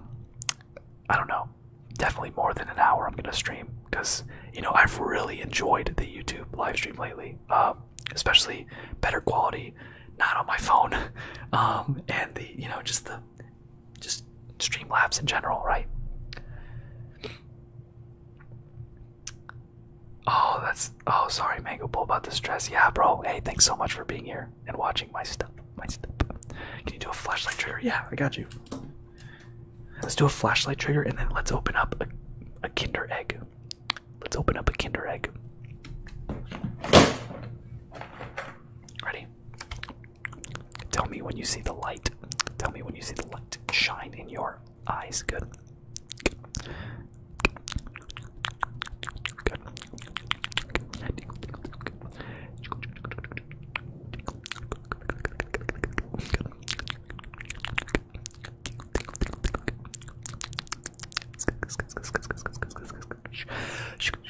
[SPEAKER 2] I don't know. Definitely more than an hour I'm gonna stream because you know I've really enjoyed the
[SPEAKER 1] YouTube live stream lately, uh, especially better quality, not on my phone,
[SPEAKER 2] um, and the you know just the just stream Streamlabs in general, right? Oh, that's oh sorry, Mango Bull about the stress. Yeah, bro. Hey, thanks so much for being here and watching my stuff. My stuff. Can you do a flashlight trigger? Yeah, I got you. Let's do a flashlight trigger and then let's open up a, a Kinder Egg. Let's open up a Kinder Egg. Ready? Tell me when you see the light. Tell me when you see the light shine in your eyes. Good.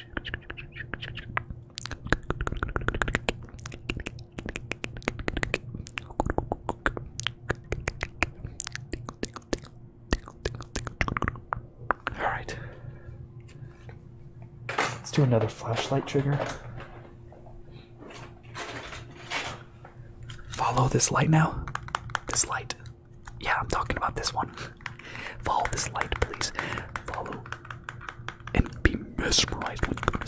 [SPEAKER 2] All right. Let's do another flashlight trigger. Follow this light now. This light. Yeah, I'm talking about this one. Follow this light, please. Follow and be mesmerized with the light.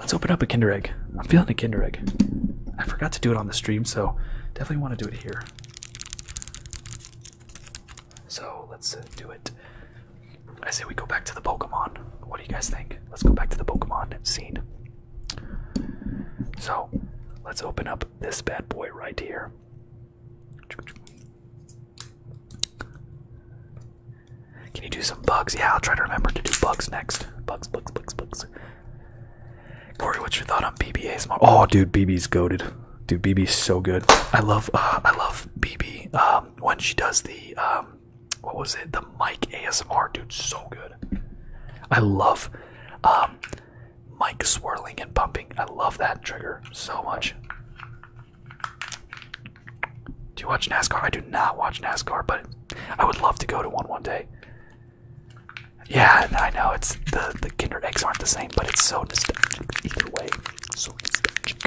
[SPEAKER 2] Let's open up a Kinder Egg. I'm feeling a Kinder Egg. I forgot to do it on the stream, so definitely want to do it here. So let's uh, do it. I say we go back to the Pokemon. What do you guys think? Let's go back to the Pokemon scene. So let's open up this bad boy right here. Can you do some bugs? Yeah, I'll try to remember to do bugs next. Bugs, bugs, bugs, bugs. Corey, what's your thought on BBA's? Oh, dude, BB's goaded. Dude, BB's so good. I love, uh, I love BB um, when she does the, um, what was it? The Mike ASMR, dude, so good. I love um, Mike swirling and pumping. I love that trigger so much. Do you watch NASCAR? I do not watch NASCAR, but I would love to go to one one day. Yeah, I know it's the the Kinder eggs aren't the same, but it's so nostalgic either way. So nostalgic.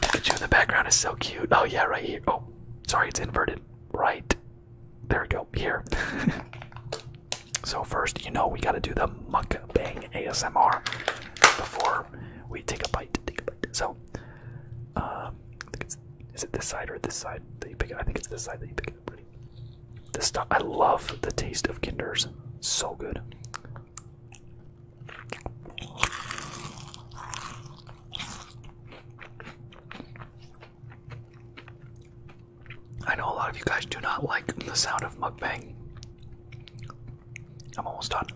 [SPEAKER 2] Pikachu in the background is so cute. Oh yeah, right here. Oh, sorry, it's inverted. Right. There we go. Here. so first, you know, we gotta do the mukbang ASMR before we take a bite. So, um, I think it's, is it this side or this side that you pick I think it's this side that you pick it up. stuff I love the taste of Kinders, so good. I know a lot of you guys do not like the sound of mukbang. I'm almost done.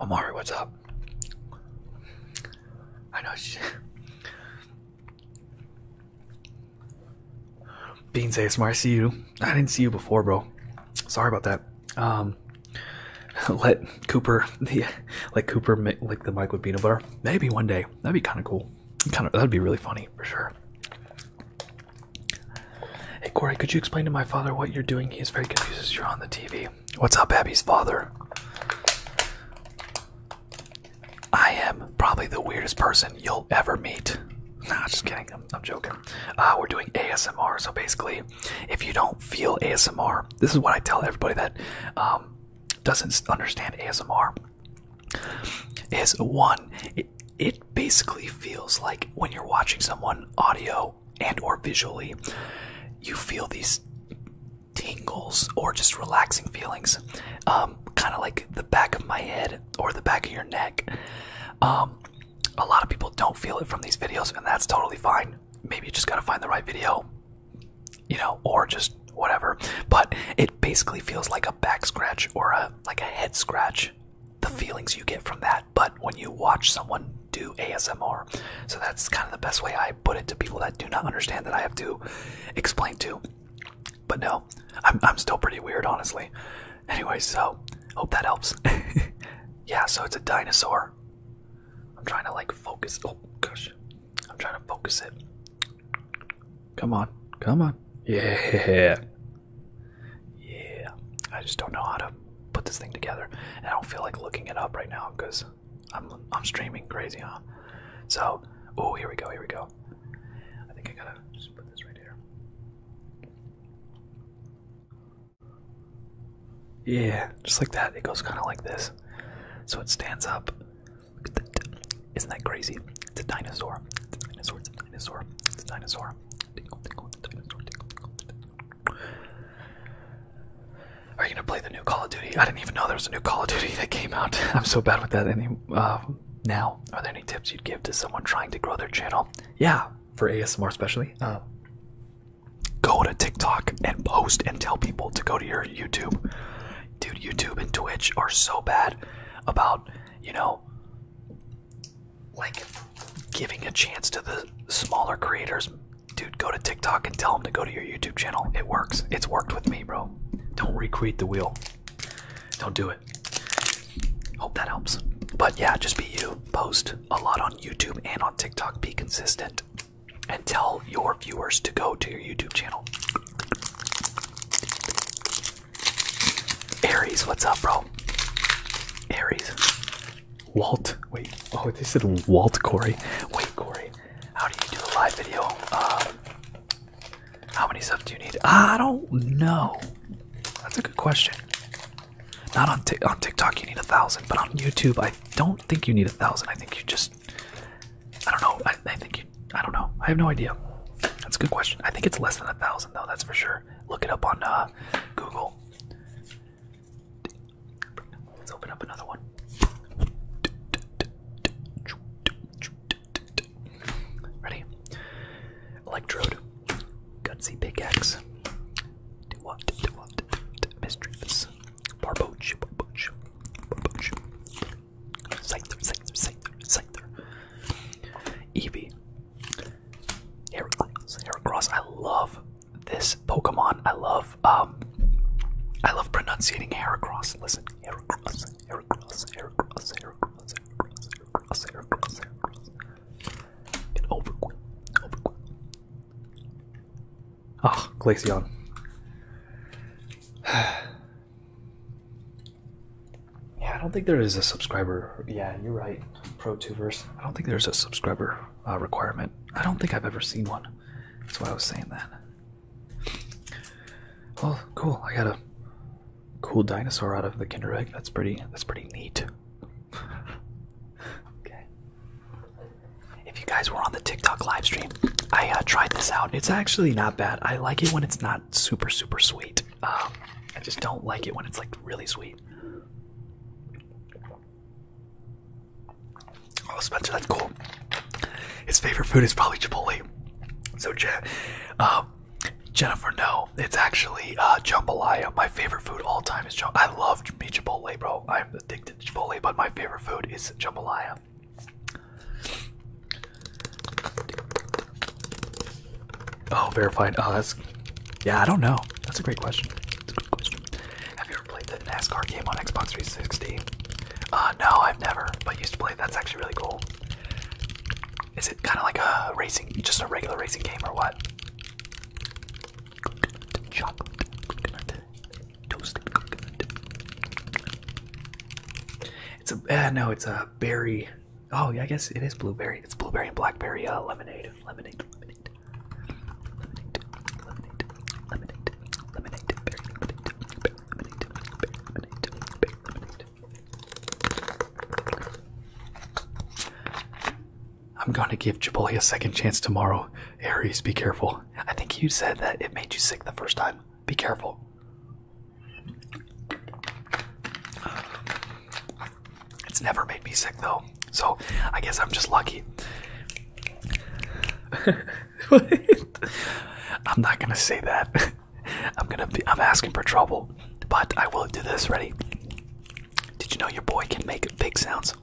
[SPEAKER 2] Amari, what's up? I know she Beans ASMR, I you. I didn't see you before, bro. Sorry about that um let Cooper the like Cooper like the mic with peanut butter. Maybe one day. That'd be kind of cool. Kind of that'd be really funny for sure. Hey Corey, could you explain to my father what you're doing? He's very confused you're on the TV. What's up, Abby's father? I am probably the weirdest person you'll ever meet. Nah, just kidding. I'm, joking. Uh, we're doing ASMR, so basically, if you don't feel ASMR, this is what I tell everybody that um, doesn't understand ASMR. Is one, it, basically feels like when you're watching someone audio and or visually, you feel these tingles or just relaxing feelings, um, kind of like the back of my head or the back of your neck. Um, a lot of people don't feel it from these videos, and that's totally fine. Maybe you just gotta find the right video, you know, or just whatever. But it basically feels like a back scratch or a like a head scratch. The feelings you get from that, but when you watch someone do ASMR, so that's kind of the best way I put it to people that do not understand that I have to explain to. But no, I'm I'm still pretty weird, honestly. Anyway, so hope that helps. yeah, so it's a dinosaur. I'm trying to like focus. Oh gosh, I'm trying to focus it. Come on, come on. Yeah, yeah. I just don't know how to put this thing together, and I don't feel like looking it up right now because I'm I'm streaming crazy, huh? So, oh, here we go, here we go. I think I gotta just put this right here. Yeah, just like that. It goes kind of like this. So it stands up. Isn't that crazy? It's a dinosaur. It's a dinosaur. It's a dinosaur. It's a dinosaur. Are you gonna play the new Call of Duty? I didn't even know there was a new Call of Duty that came out. I'm so bad with that. Any uh, now? Are there any tips you'd give to someone trying to grow their channel? Yeah, for ASMR especially. Uh, go to TikTok and post and tell people to go to your YouTube. Dude, YouTube and Twitch are so bad about, you know, like giving a chance to the smaller creators. Dude, go to TikTok and tell them to go to your YouTube channel. It works. It's worked with me, bro. Don't recreate the wheel. Don't do it. Hope that helps. But
[SPEAKER 1] yeah, just be you. Post a lot on YouTube and on TikTok. Be consistent and
[SPEAKER 2] tell your viewers to go to your YouTube channel. Aries, what's up, bro? Aries. Walt, wait, oh, they said Walt Corey. Wait, Corey, how do you do a live video? Um, how many stuff do you need? I don't know. That's a good question. Not on on TikTok, you need a thousand, but on YouTube, I don't think you need a thousand. I think you just, I don't know. I, think you, I don't know. I have no idea. That's a good question. I think it's less than a thousand though. That's for sure. Look it up on uh, Google. Let's open up another one. Ready? Electrode. Gutsy pickaxe. Do what? Do what? Do what? Mischievous. Barboach. Barboach. Barboach. Scyther. Scyther. Scyther. Scyther. Eevee. Heracross. Heracross. I love this Pokemon. I love, um, I love pronunciating Heracross. Listen. Heracross. Heracross. Heracross. Heracross. Heracross. Heracross. Heracross. Heracross. Get over quick. Over quick oh, Glaceon. yeah, I don't think there is a subscriber. Yeah, you're right. Pro two ProTubers. I don't think there's a subscriber uh, requirement. I don't think I've ever seen one. That's why I was saying that. Well, cool. I got a cool dinosaur out of the Kinder Egg. That's pretty. That's pretty neat okay. If you guys were on the TikTok live stream, I uh, tried this out. It's actually not bad. I like it when it's not super, super sweet. Um, I just don't like it when it's like really sweet. Oh, Spencer, that's cool. His favorite food is probably Chipotle. So, Je um, Jennifer, no, it's actually uh, jambalaya. My favorite food all time is jambalaya. I love me Chipotle, bro. Oh, I'm addicted to Chipotle, but my favorite food is jambalaya. Oh, verified. Oh, that's. Yeah, I don't know. That's a great question. That's a good question. Have you ever played the NASCAR game on Xbox 360? Uh, no, I've never. But used to play. That's actually really cool. Is it kind of like a racing, just a regular racing game, or what? chocolate, toasted It's a uh, no, it's a berry. Oh yeah, I guess it is blueberry. It's blueberry and blackberry uh, lemonade. Lemonade, lemonade, lemonade. I'm going to give Chipotle a second chance tomorrow. Aries, be careful. I think you said that it made you sick the first time. Be careful. It's never made me sick though, so I guess I'm just lucky. I'm not gonna say that. I'm gonna be. I'm asking for trouble, but I will do this. Ready? Did you know your boy can make big sounds?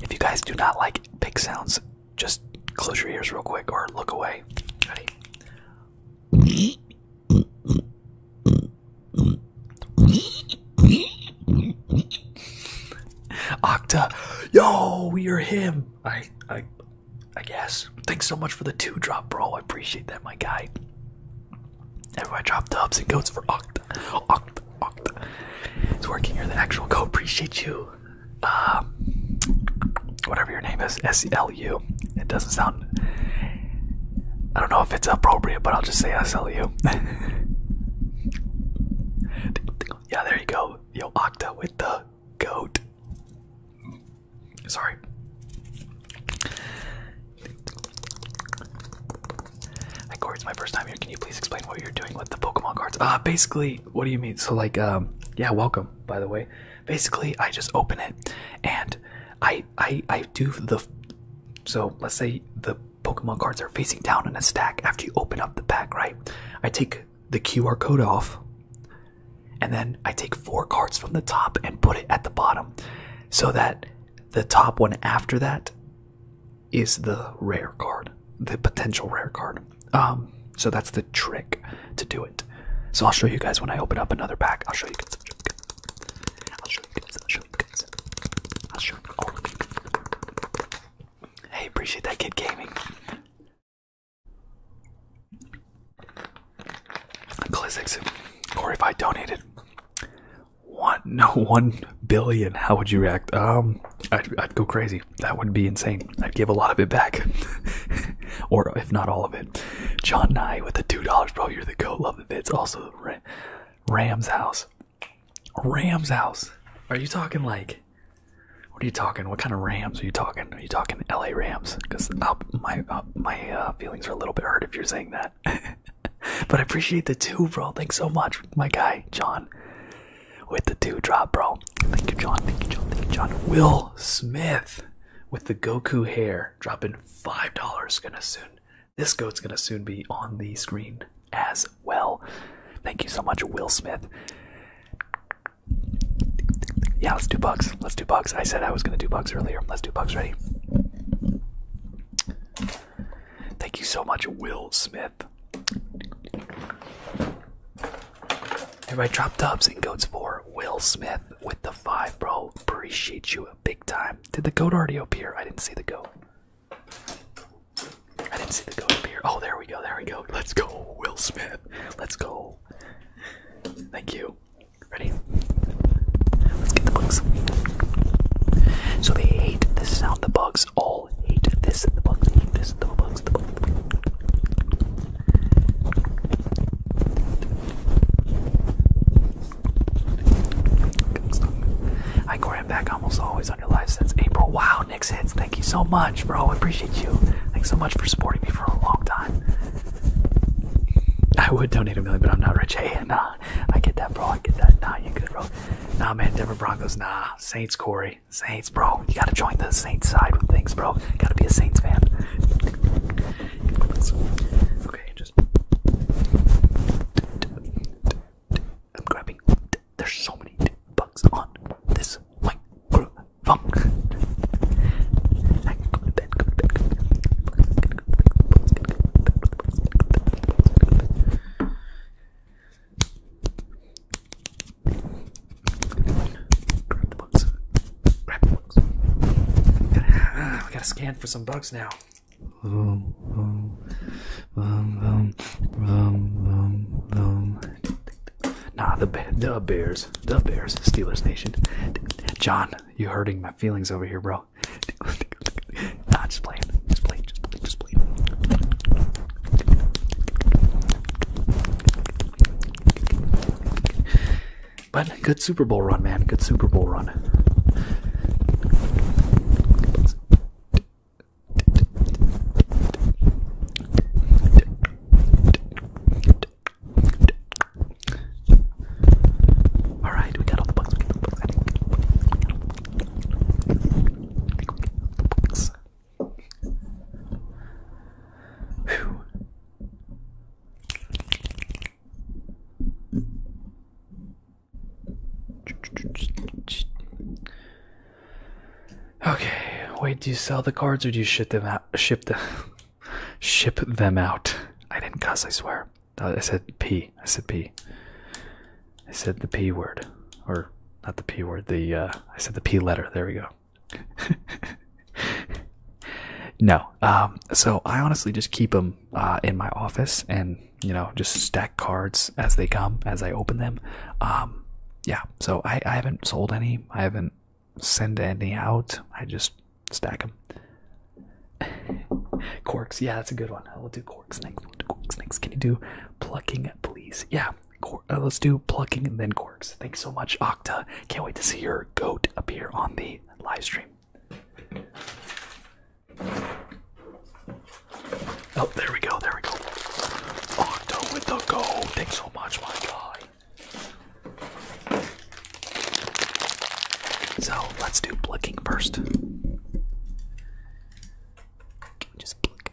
[SPEAKER 2] If you guys do not like big sounds, just close your ears real quick or look away. Ready? Octa, yo, you're him. I, I, I guess. Thanks so much for the two drop, bro. I appreciate that, my guy. Everybody drop dubs and goats for Octa. Octa. Oct. It's working. You're the actual goat. Appreciate you. Uh, whatever your name is, S L U. It doesn't sound. I don't know if it's appropriate, but I'll just say S L U. yeah, there you go. Yo, Octa with the goat. Sorry. My cards, my first time here. Can you please explain what you're doing with the Pokemon cards? Ah, basically, what do you mean? So, like, um, yeah, welcome. By the way, basically, I just open it, and I, I, I do the. So let's say the Pokemon cards are facing down in a stack. After you open up the pack, right? I take the QR code off, and then I take four cards from the top and put it at the bottom, so that the top one after that is the rare card, the potential rare card. Um, so that's the trick to do it. So I'll show you guys when I open up another pack. I'll show you guys. I'll show you guys. I'll show you guys. I'll show you all of you. Hey, appreciate that kid gaming. Klizix, or if I donated, one, no, one billion. How would you react? Um, I'd, go crazy. That would be insane. I'd give a lot of it back, or if not all of it. John Nye with the two dollars, bro. You're the goat. Love the vids. Also, Ram's house. Ram's house. Are you talking like? What are you talking? What kind of Rams are you talking? Are you talking L.A. Rams? Because my uh, my uh, feelings are a little bit hurt if you're saying that. but I appreciate the two, bro. Thanks so much, my guy, John. With the two drop, bro. Thank you, John. Thank you, John. Thank you, John. Will Smith with the Goku hair dropping five dollars. Gonna soon. This goat's gonna soon be on the screen as well. Thank you so much, Will Smith. Yeah, let's do bugs. Let's do bugs. I said I was gonna do bugs earlier. Let's do bugs. Ready? Thank you so much, Will Smith. Everybody drop dubs and goats for Will Smith with the five, bro. Appreciate you big time. Did the goat already appear? I didn't see the goat. I didn't see the goat appear. Oh, there we go. There we go. Let's go, Will Smith. Let's go. Thank you. Ready? Let's get the bugs. So they hate the sound the bugs all all hate this I'm back almost always on your live since April. Wow, Nick's hits, thank you so much, bro. I appreciate you. Thanks so much for supporting me for a long time. I would donate a million, but I'm not rich. Hey, and uh, I get that, bro. I get that. Nah, you good, bro. Nah, man, Denver Broncos, nah. Saints, Corey. Saints, bro. You gotta join the Saints side with things, bro. Gotta be a Saints fan. Okay, just. I'm grabbing. There's so many bugs on this microphone. Grab the bugs. Grab the bugs. Gotta, uh, gotta scan for some bugs now. Vroom, vroom, vroom, vroom, vroom, Nah, the the Bears, the Bears, Steelers Nation. John, you're hurting my feelings over here, bro nah, just playing. Just playing. Just playing. Just playing. But good Super Bowl run, man. Good Super Bowl run. All right, We got all the bugs. Okay, wait, do you sell the cards or do you ship them out? Ship them, ship them out. I didn't cuss, I swear. I said P. I said P. I said the P word. Or not the P word, the uh I said the P letter. There we go. no. Um so I honestly just keep them uh in my office and you know just stack cards as they come as I open them. Um yeah, so I I haven't sold any. I haven't sent any out. I just stack them. Corks. Yeah, that's a good one. We'll do Cork snakes. snakes. Can you do plucking, please? Yeah. Uh, let's do plucking and then corks. Thanks so much, Octa. Can't wait to see your goat appear on the live stream. Oh, there we go. There we go. Octa with the goat. Thanks so much, my guy. So let's do plucking first. Just pluck,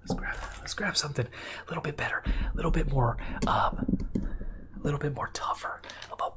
[SPEAKER 2] Let's grab, let's grab something a little bit better, a little bit more, um, a little bit more tougher. About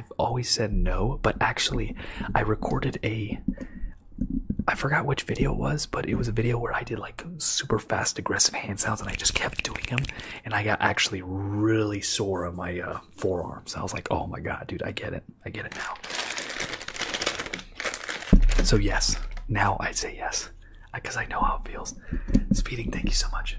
[SPEAKER 2] I've always said no, but actually, I recorded a. I forgot which video it was, but it was a video where I did like super fast aggressive hand sounds and I just kept doing them. And I got actually really sore on my uh, forearms. I was like, oh my god, dude, I get it. I get it now. So, yes, now I'd say yes because I know how it feels. Speeding, thank you so much.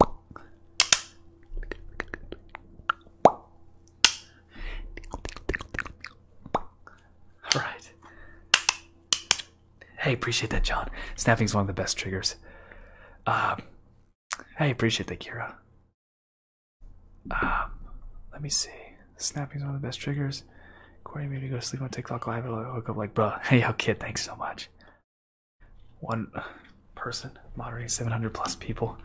[SPEAKER 2] All right. Hey, appreciate that, John. Snapping's one of the best triggers. Um, hey, appreciate that, Kira. Um, let me see. Snapping's one of the best triggers. Corey, maybe go sleep on TikTok live. and will hook up like, bruh. Hey, yo, kid, thanks so much one person moderating 700 plus people.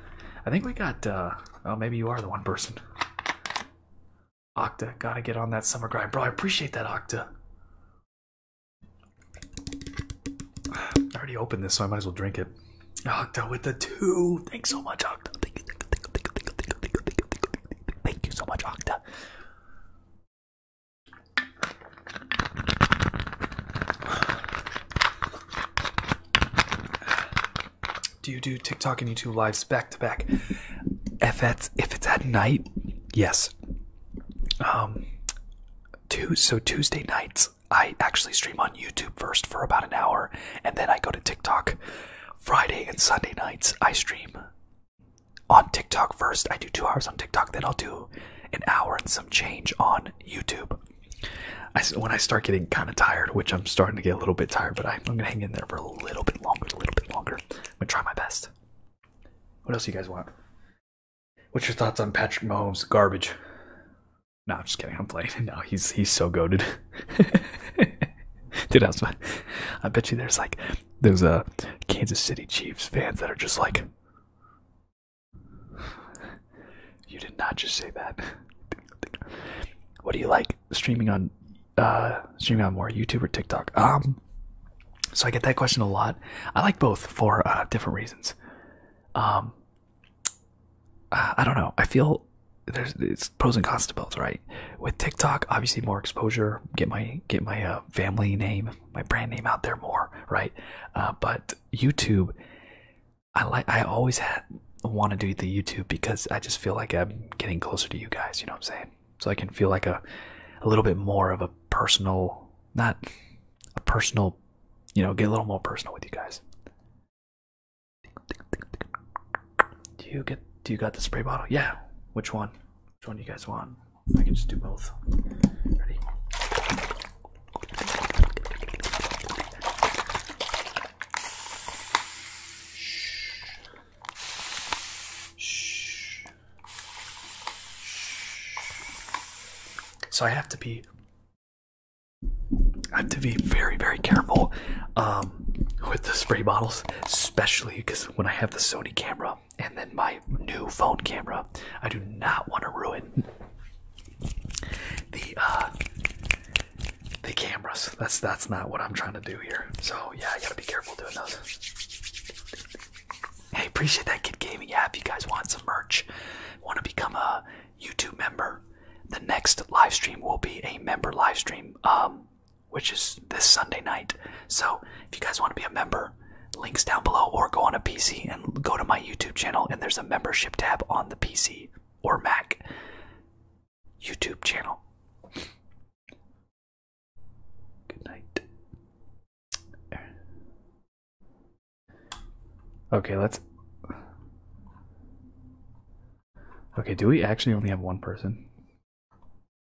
[SPEAKER 2] I think we got, uh, oh, maybe you are the one person. Octa, gotta get on that summer grind. Bro, I appreciate that, Octa. I already opened this, so I might as well drink it. Octa with the two. Thanks so much, Octa. Thank you, thank you, thank you, thank you, thank you, thank you, thank you, thank you so much, Octa. Do you do TikTok and YouTube live back to back? If it's if it's at night, yes. Um, two so Tuesday nights I actually stream on YouTube first for about an hour, and then I go to TikTok. Friday and Sunday nights I stream on TikTok first. I do two hours on TikTok, then I'll do an hour and some change on YouTube when I start getting kind of tired, which I'm starting to get a little bit tired, but I, am gonna hang in there for a little bit longer, a little bit longer. I'm gonna try my best. What else do you guys want? What's your thoughts on Patrick Mahomes? Garbage. No, I'm just kidding. I'm playing. No, he's he's so goaded. Dude, I, bet you there's like those uh, Kansas City Chiefs fans that are just like, you did not just say that. what do you like streaming on? Uh, streaming on more YouTube or TikTok? Um, so I get that question a lot. I like both for uh, different reasons. Um, I don't know. I feel there's it's pros and cons to both, right? With TikTok, obviously more exposure, get my get my uh, family name, my brand name out there more, right? but YouTube, I like I always want to do the YouTube because I just feel like I'm getting closer to you guys, you know what I'm saying? So I can feel like a a little bit more of a personal not a personal, you know, get a little more personal with you guys. Do you get do you got the spray bottle? Yeah. Which one? Which one do you guys want? I can just do both. Ready? So I have to be I have to be very, very careful um, with the spray bottles, especially because when I have the Sony camera and then my new phone camera, I do not want to ruin the uh the cameras. That's that's not what I'm trying to do here. So yeah, I gotta be careful doing those. Hey, appreciate that kid gaming. app. if you guys want some merch, want to become a YouTube member, the next live stream will be a member live stream, um, which is this Sunday night. So if you guys want to be a member, links down below, or go on a PC go to my YouTube channel, and there's a membership tab on the PC or Mac YouTube channel. Good night. Okay, let's. Okay, do we actually only have one person?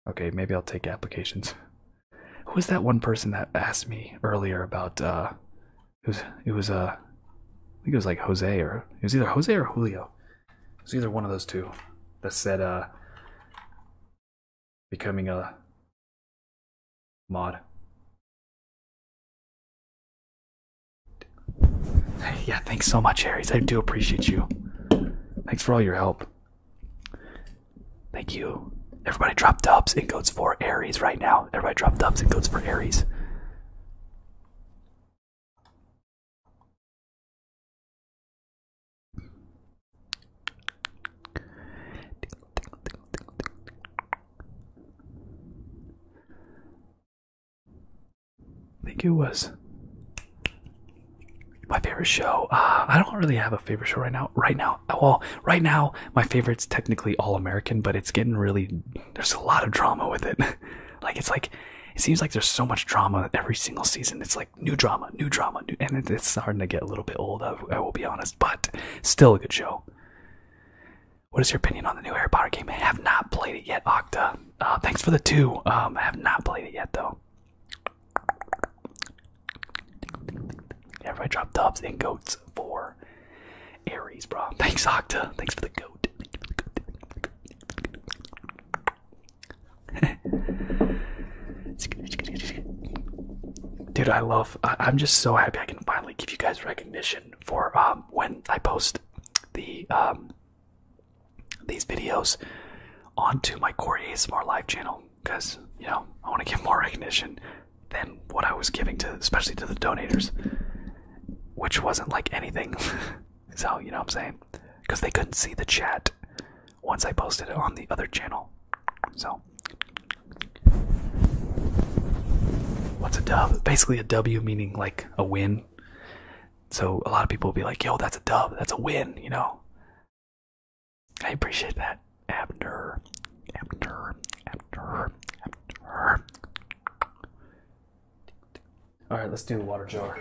[SPEAKER 2] Okay, maybe I'll take applications. Who was that one person that asked me earlier about uh, it was it was uh I think it was like Jose or it was either Jose or
[SPEAKER 1] Julio. It was either one of those two that said uh becoming a mod. Yeah, thanks so much, Harrys. I do appreciate you.
[SPEAKER 2] Thanks for all your help. Thank you. Everybody drop dubs
[SPEAKER 1] and go for Aries right now. Everybody drop thumbs and codes for Aries. I think it was
[SPEAKER 2] my favorite show. Uh, I don't really have a favorite show right now. Right now, well, right now, my favorite's technically All American, but it's getting really there's a lot of drama with it. like it's like it seems like there's so much drama every single season. It's like new drama, new drama, and it's starting to get a little bit old. I, will be honest, but still a good show. What is your opinion on the new Harry Potter game? I have not played it yet, Octa. Uh, thanks for the two. Um, I have not played it yet though. Everybody drop dubs and goats for Aries, bro. Thanks, Octa. Thanks for the goat. Dude, I love. I, am just so happy I can finally give you guys recognition for um, when I post the um, these videos onto my Corey ASMR live channel because you know I want to give more recognition than what I was giving to, especially to the donators, which wasn't like anything. so you know what I'm saying? Because they couldn't see the chat once I posted it on the other channel. So what's a dub? Basically, a W meaning like a win. So a lot of people will be like, "Yo, that's a dub. That's a win," you know.
[SPEAKER 1] I appreciate that, Abner. Abner. Abner.
[SPEAKER 2] All right, let's do water jar.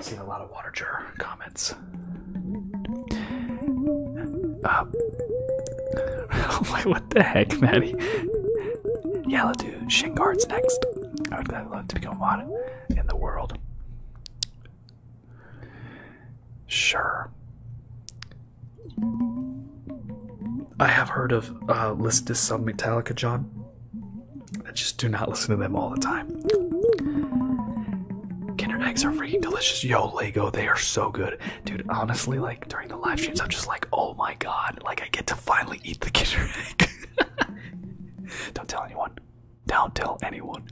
[SPEAKER 2] seen a lot of water jar comments. Oh uh, my! what the heck, Maddie? Yeah, let's do shin guards next. I would love to become one in the world. Sure. I have heard of uh, listen to some Metallica, John. I just do not listen to them all the time. Kinder eggs are freaking delicious. Yo, Lego, they are so good, dude. Honestly, like during the live streams, I'm just like, oh my god, like I get to finally eat the Kinder egg. Don't tell anyone. Don't tell anyone.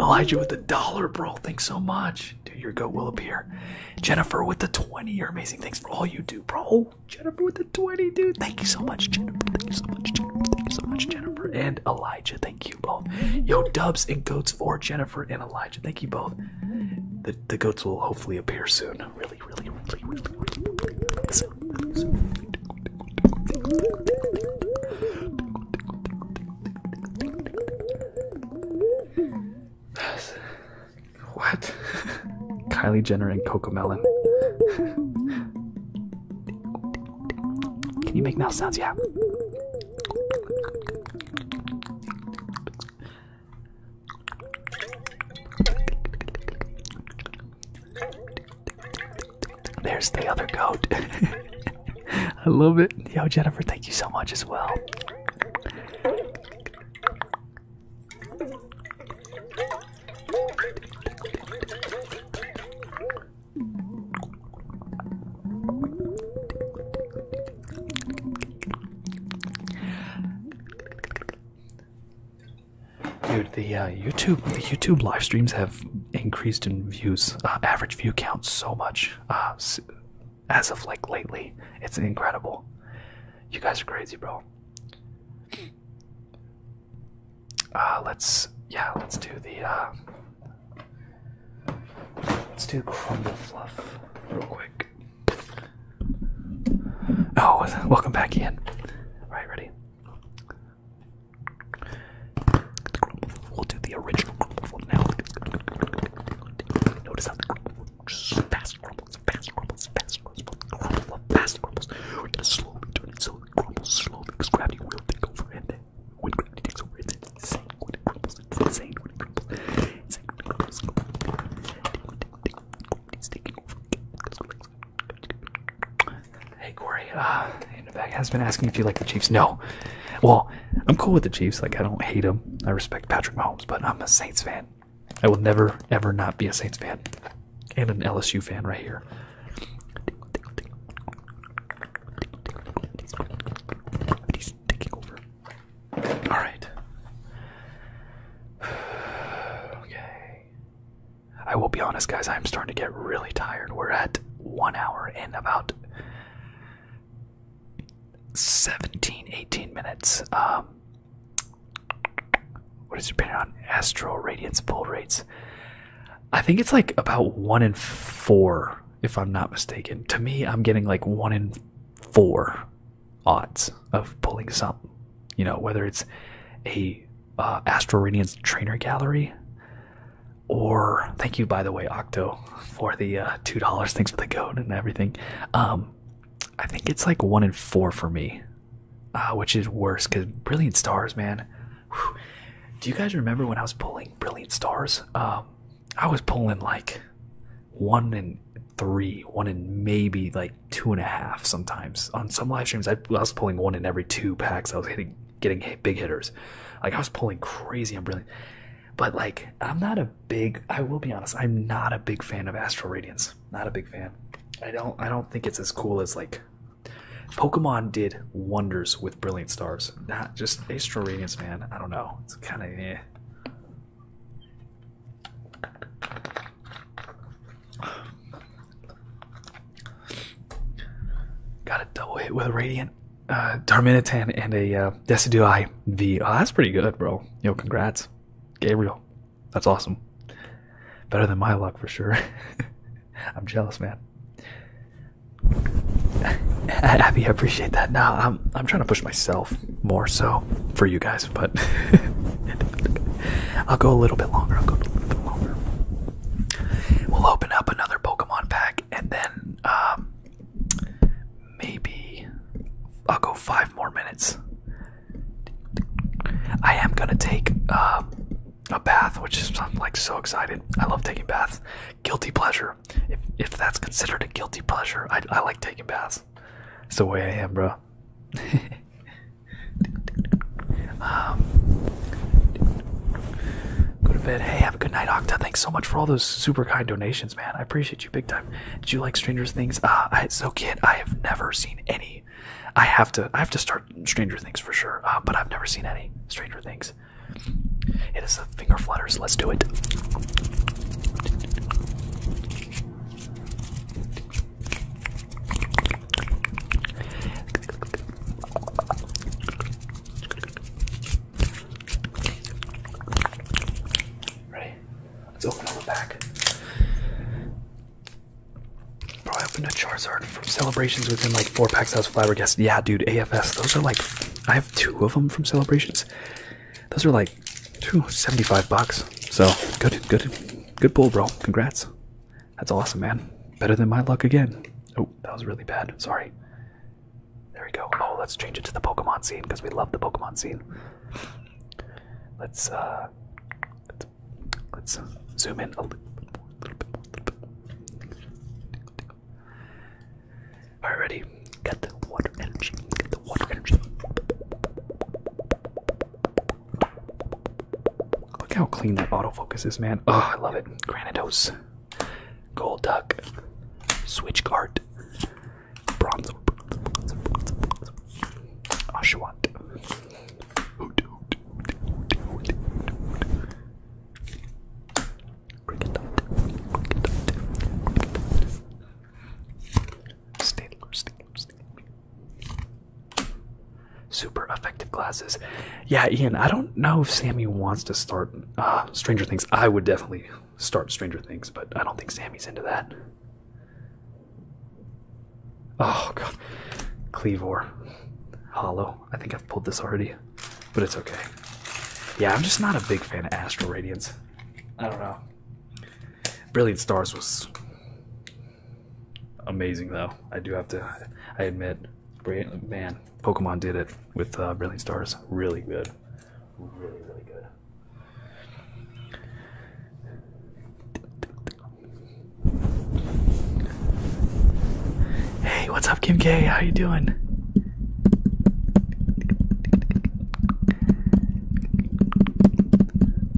[SPEAKER 2] Elijah with the dollar, bro. Thanks so much donation your goat will appear. Jennifer with the 20, you're amazing. Thanks for all you do, bro. Oh, Jennifer with the 20, dude. Thank you so much, Jennifer. Thank you so much, Jennifer. Thank you so much, Jennifer. And Elijah, thank you both. Yo, dubs and goats for Jennifer and Elijah. Thank you both. The, the goats will hopefully appear soon. Really, really, really, really, really, Really soon. What? Kylie Jenner and Coco Melon. Can you make mouth sounds? Yeah. There's the other goat. I love it. Yo, Jennifer, thank you so much as well. Dude, the uh, YouTube the YouTube live streams have increased in views, uh, average view count so much. Uh, as of like lately. It's incredible. You guys are crazy, bro. Uh, let's yeah, let's do the uh, let's do crumble fluff real quick. Oh, welcome back in. Right, ready. We'll do the original crumble now. Notice how the crumble Hey Corey, uh, Novak has been asking if you like the Chiefs. No, well, I'm cool with the Chiefs. Like I don't hate them. I respect Patrick Mahomes, but I'm a Saints fan. I will never, ever not be a Saints fan and an LSU fan right here. He's taking over. All right. okay. I will be honest, guys. I'm starting to get really tired. We're at one hour and about 17, 18 minutes. Um, what is your opinion on astral radiance pull rates? I think it's like about one in four, if I'm not mistaken. To me, I'm getting like one in four odds of pulling something. You know, whether it's a uh, astral radiance trainer gallery, or thank you by the way, Octo, for the uh, two dollars. Thanks for the code and everything. Um, I think it's like one in four for me, uh, which is worse because Brilliant Stars, man. Do you guys remember when I was pulling Brilliant Stars? Um, I was pulling like one in three, one in maybe like two and a half sometimes. On some live streams, I, was pulling one in every two packs. I was hitting, getting big hitters. Like I was pulling crazy on Brilliant. But like, I'm not a big. I will be honest. I'm not a big fan of Astral Radiance not a big fan. I don't I don't think it's as cool as like Pokemon did wonders with Brilliant Stars. Not just Astral Radiance, man. I don't know. It's kind of eh. Got a double hit with a Radiant, uh, Darminitan, and a uh, V. Oh, that's pretty good, bro. Yo, congrats, Gabriel. That's awesome. Better than my luck for sure. I'm jealous, man. Abby, I appreciate that. Now I'm I'm trying to push myself more so for you guys, but I'll go a little bit longer. I'll go a little bit longer. We'll open up another Pokemon pack and then um, maybe I'll go five more minutes. I am gonna take um, a bath, which is I'm like so excited. I love taking baths. Guilty pleasure, if if that's considered a guilty pleasure, I I like taking baths. It's the way I am, bro. Um, go to bed. Hey, have a good night, Octa. Thanks so much for all those super kind donations, man. I appreciate you big time. Did you like Stranger Things? Ah, uh, so kid, I have never seen any. I have to. I have to start Stranger Things for sure. Uh, but I've never seen any Stranger Things. It is the finger flutters. Let's do it. Ready? Let's open the back. Bro, I opened a Charizard from Celebrations within like four packs. I was flabbergasted. Yeah, dude, AFS. Those are like, I have two of them from Celebrations. Those are like, two seventy-five bucks. So good, good, good pull, bro. Congrats. That's awesome, man. Better than my luck again. Oh, that was really bad. Sorry. There we go. Oh, let's change it to the Pokemon scene because we love the Pokemon scene. Let's uh, let's, uh, zoom in a little bit more, All right, ready? Get the water energy. Get the water energy. Look how clean that autofocus is, man. Oh, I love it. Granitos, Gold Duck, Switchguard, Bronze Ashwat. Oh, Cricket Staedler, Staedler, Staedler. Super effective glasses. Yeah, Ian, I don't know if Sammy wants to start uh, Stranger Things. I would definitely start Stranger Things, but I don't think Sammy's into that. Oh god. Cleavor. Hollow. I think I've pulled this already. But it's okay. Yeah, I'm just not a big fan of Astral Radiance. I don't know. Brilliant Stars was amazing though. I do have to I admit, man, Pokemon did it with uh, Brilliant Stars. Really good. Really, really good. Hey, what's up, Kim K? How you doing?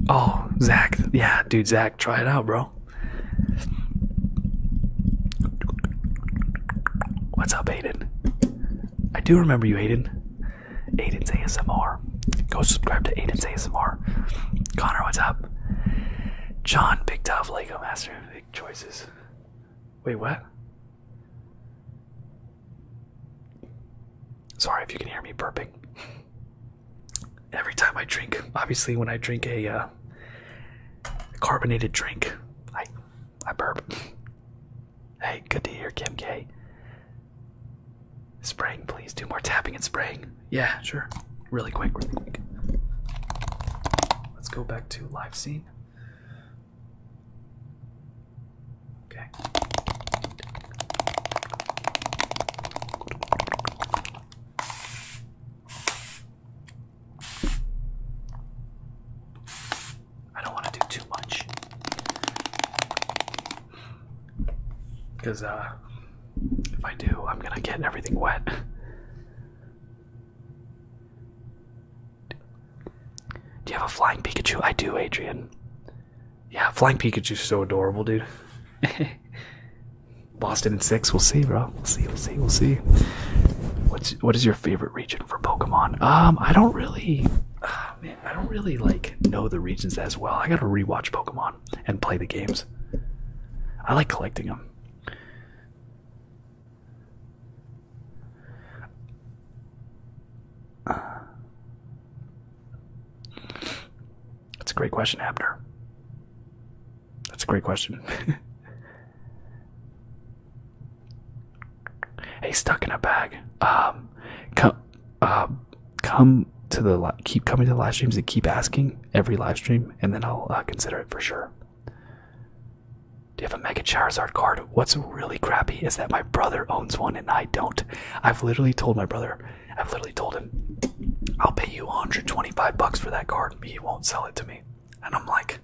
[SPEAKER 2] Oh, Zach. Yeah, dude, Zach, try it out, bro. What's up, Aiden? I do remember you, Aiden. Aden's ASMR. Go subscribe to Aden's ASMR. Connor, what's up? John, Big Dove, Lego Master, Big Choices. Wait, what? Sorry if you can hear me burping. Every time I drink, obviously, when I drink a uh, carbonated drink, I I burp. Hey, good to hear Kim K. Spraying, please. Do more tapping and spraying. Yeah, sure. Really quick, really quick. Let's go back to live scene. Okay. I don't want to do too much because uh, if I do, I'm gonna get everything wet. Do you have a flying Pikachu? I do, Adrian. Yeah, flying Pikachu's so adorable, dude. Lost it in six. We'll see, bro. We'll see. We'll see. We'll see. What's what is your favorite region for Pokemon? Um, I don't really, ah, man, I don't really like know the regions as well. I gotta rewatch Pokemon and play the games. I like collecting them. that's a great question, Abner. That's a great question. hey, stuck in a bag. Um, come uh, come to the keep coming to the live streams and keep asking every live stream, and then I'll uh, consider it for sure. Do you have a Mega Charizard card? What's really crappy is that my brother owns one and I don't. I've literally told my brother, I've literally told him, I'll pay you 125 bucks for that card. but He won't sell it to me. And I'm like,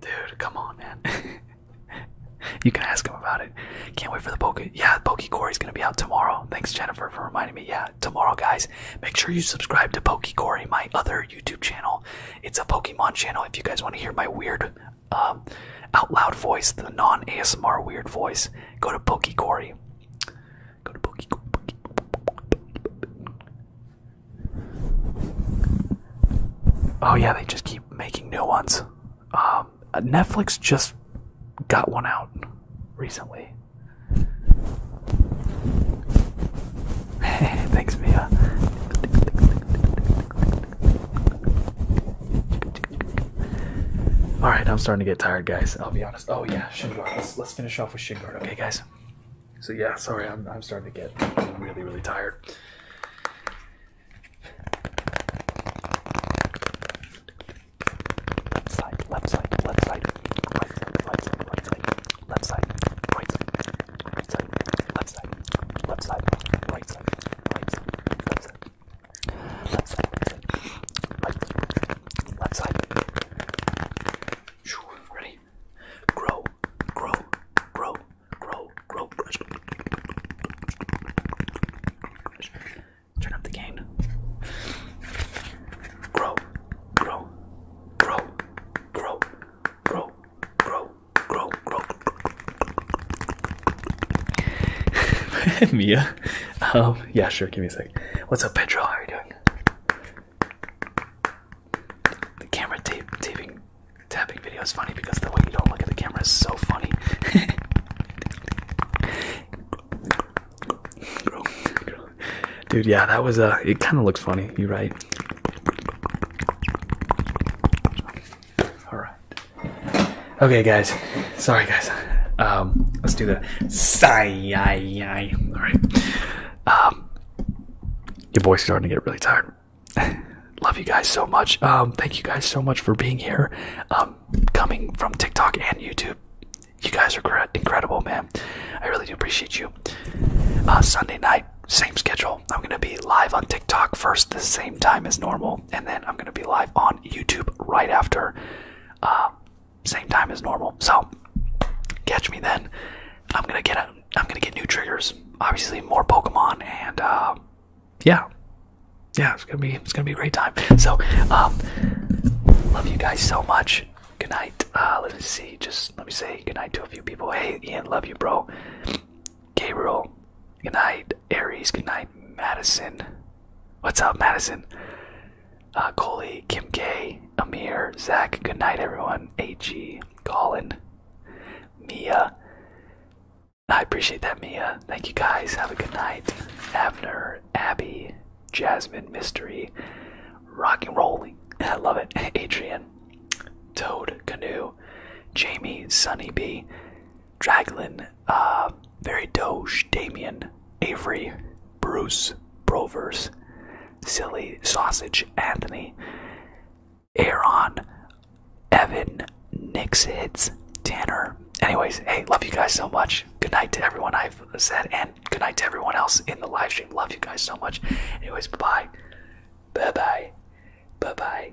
[SPEAKER 2] dude, come on, man. you can ask him about it. Can't wait for the Poke. Yeah, Poke Corey's gonna be out tomorrow. Thanks, Jennifer, for reminding me. Yeah, tomorrow, guys. Make sure you subscribe to Poke Corey, my other YouTube channel. It's a Pokemon channel. If you guys want to hear my weird, um, out loud voice, the non ASMR weird voice, go to Poke Corey. Go to Poke. Oh yeah, they just keep making new ones. Um, Netflix just got one out recently. Thanks, Mia. All right, I'm starting to get tired, guys. I'll be honest. Oh yeah, Shinguard. Let's let's finish off with Shinguard, okay, guys? So yeah, sorry, I'm I'm starting to get really really tired side, left side, left side, right side, right side, right side, left side, right side, right side, left side, left side, right side, right side, left side, left side, right
[SPEAKER 1] side, left side. Ready? Grow, grow, grow, grow, grow, crush, crush, Turn up the gain.
[SPEAKER 2] Grow, grow, grow, grow, grow, grow, grow, grow. Mia, um, yeah, sure. Give me a sec. What's up, Pedro? How are you doing? The camera tape taping video is funny because the way you don't look at the camera is so funny. Dude, yeah, that was uh it kind of looks funny. You're right. All right. Okay, guys. Sorry, guys. Um, let's do the sigh. All right. Um, your boy's starting to get really tired. Love you guys so much. Um, thank you guys so much for being here. Um, coming from TikTok and YouTube. You guys are incredible, man. I really do appreciate you. Uh, Sunday night, same schedule. I'm going to be live on TikTok first, the same time as normal, and then I'm going to be live on YouTube right after, uh, same time as normal. So catch me then. I'm gonna get a, I'm gonna get new triggers. Obviously, more Pokemon and uh, yeah, yeah. It's gonna be it's gonna be a great time. So um, love you guys so much. Good night. Uh, let me see. Just let me say good night to a few people. Hey Ian, love you, bro. Gabriel, good night. Aries, good night. Madison, what's up, Madison? Uh, Coley, Kim K, Amir, Zach, good night, everyone. Ag, Collin, Mia. I appreciate that, Mia. Thank you guys. Have a good night. Abner, Abby, Jasmine Mystery, Rock and Rolling. I love it. Adrian, Toad Canoe, Jamie Sunny B, Draglin, uh, Very Doge, Damien, Avery, Bruce, Brovers, Silly Sausage, Anthony, Aaron, Evan, Nix Hits, Tanner. Anyways, hey, love you guys so much. Good night to everyone I've said and and good night to everyone else in the live stream.
[SPEAKER 1] Love you guys so much. Anyways, bye bye. Bye bye. Bye bye.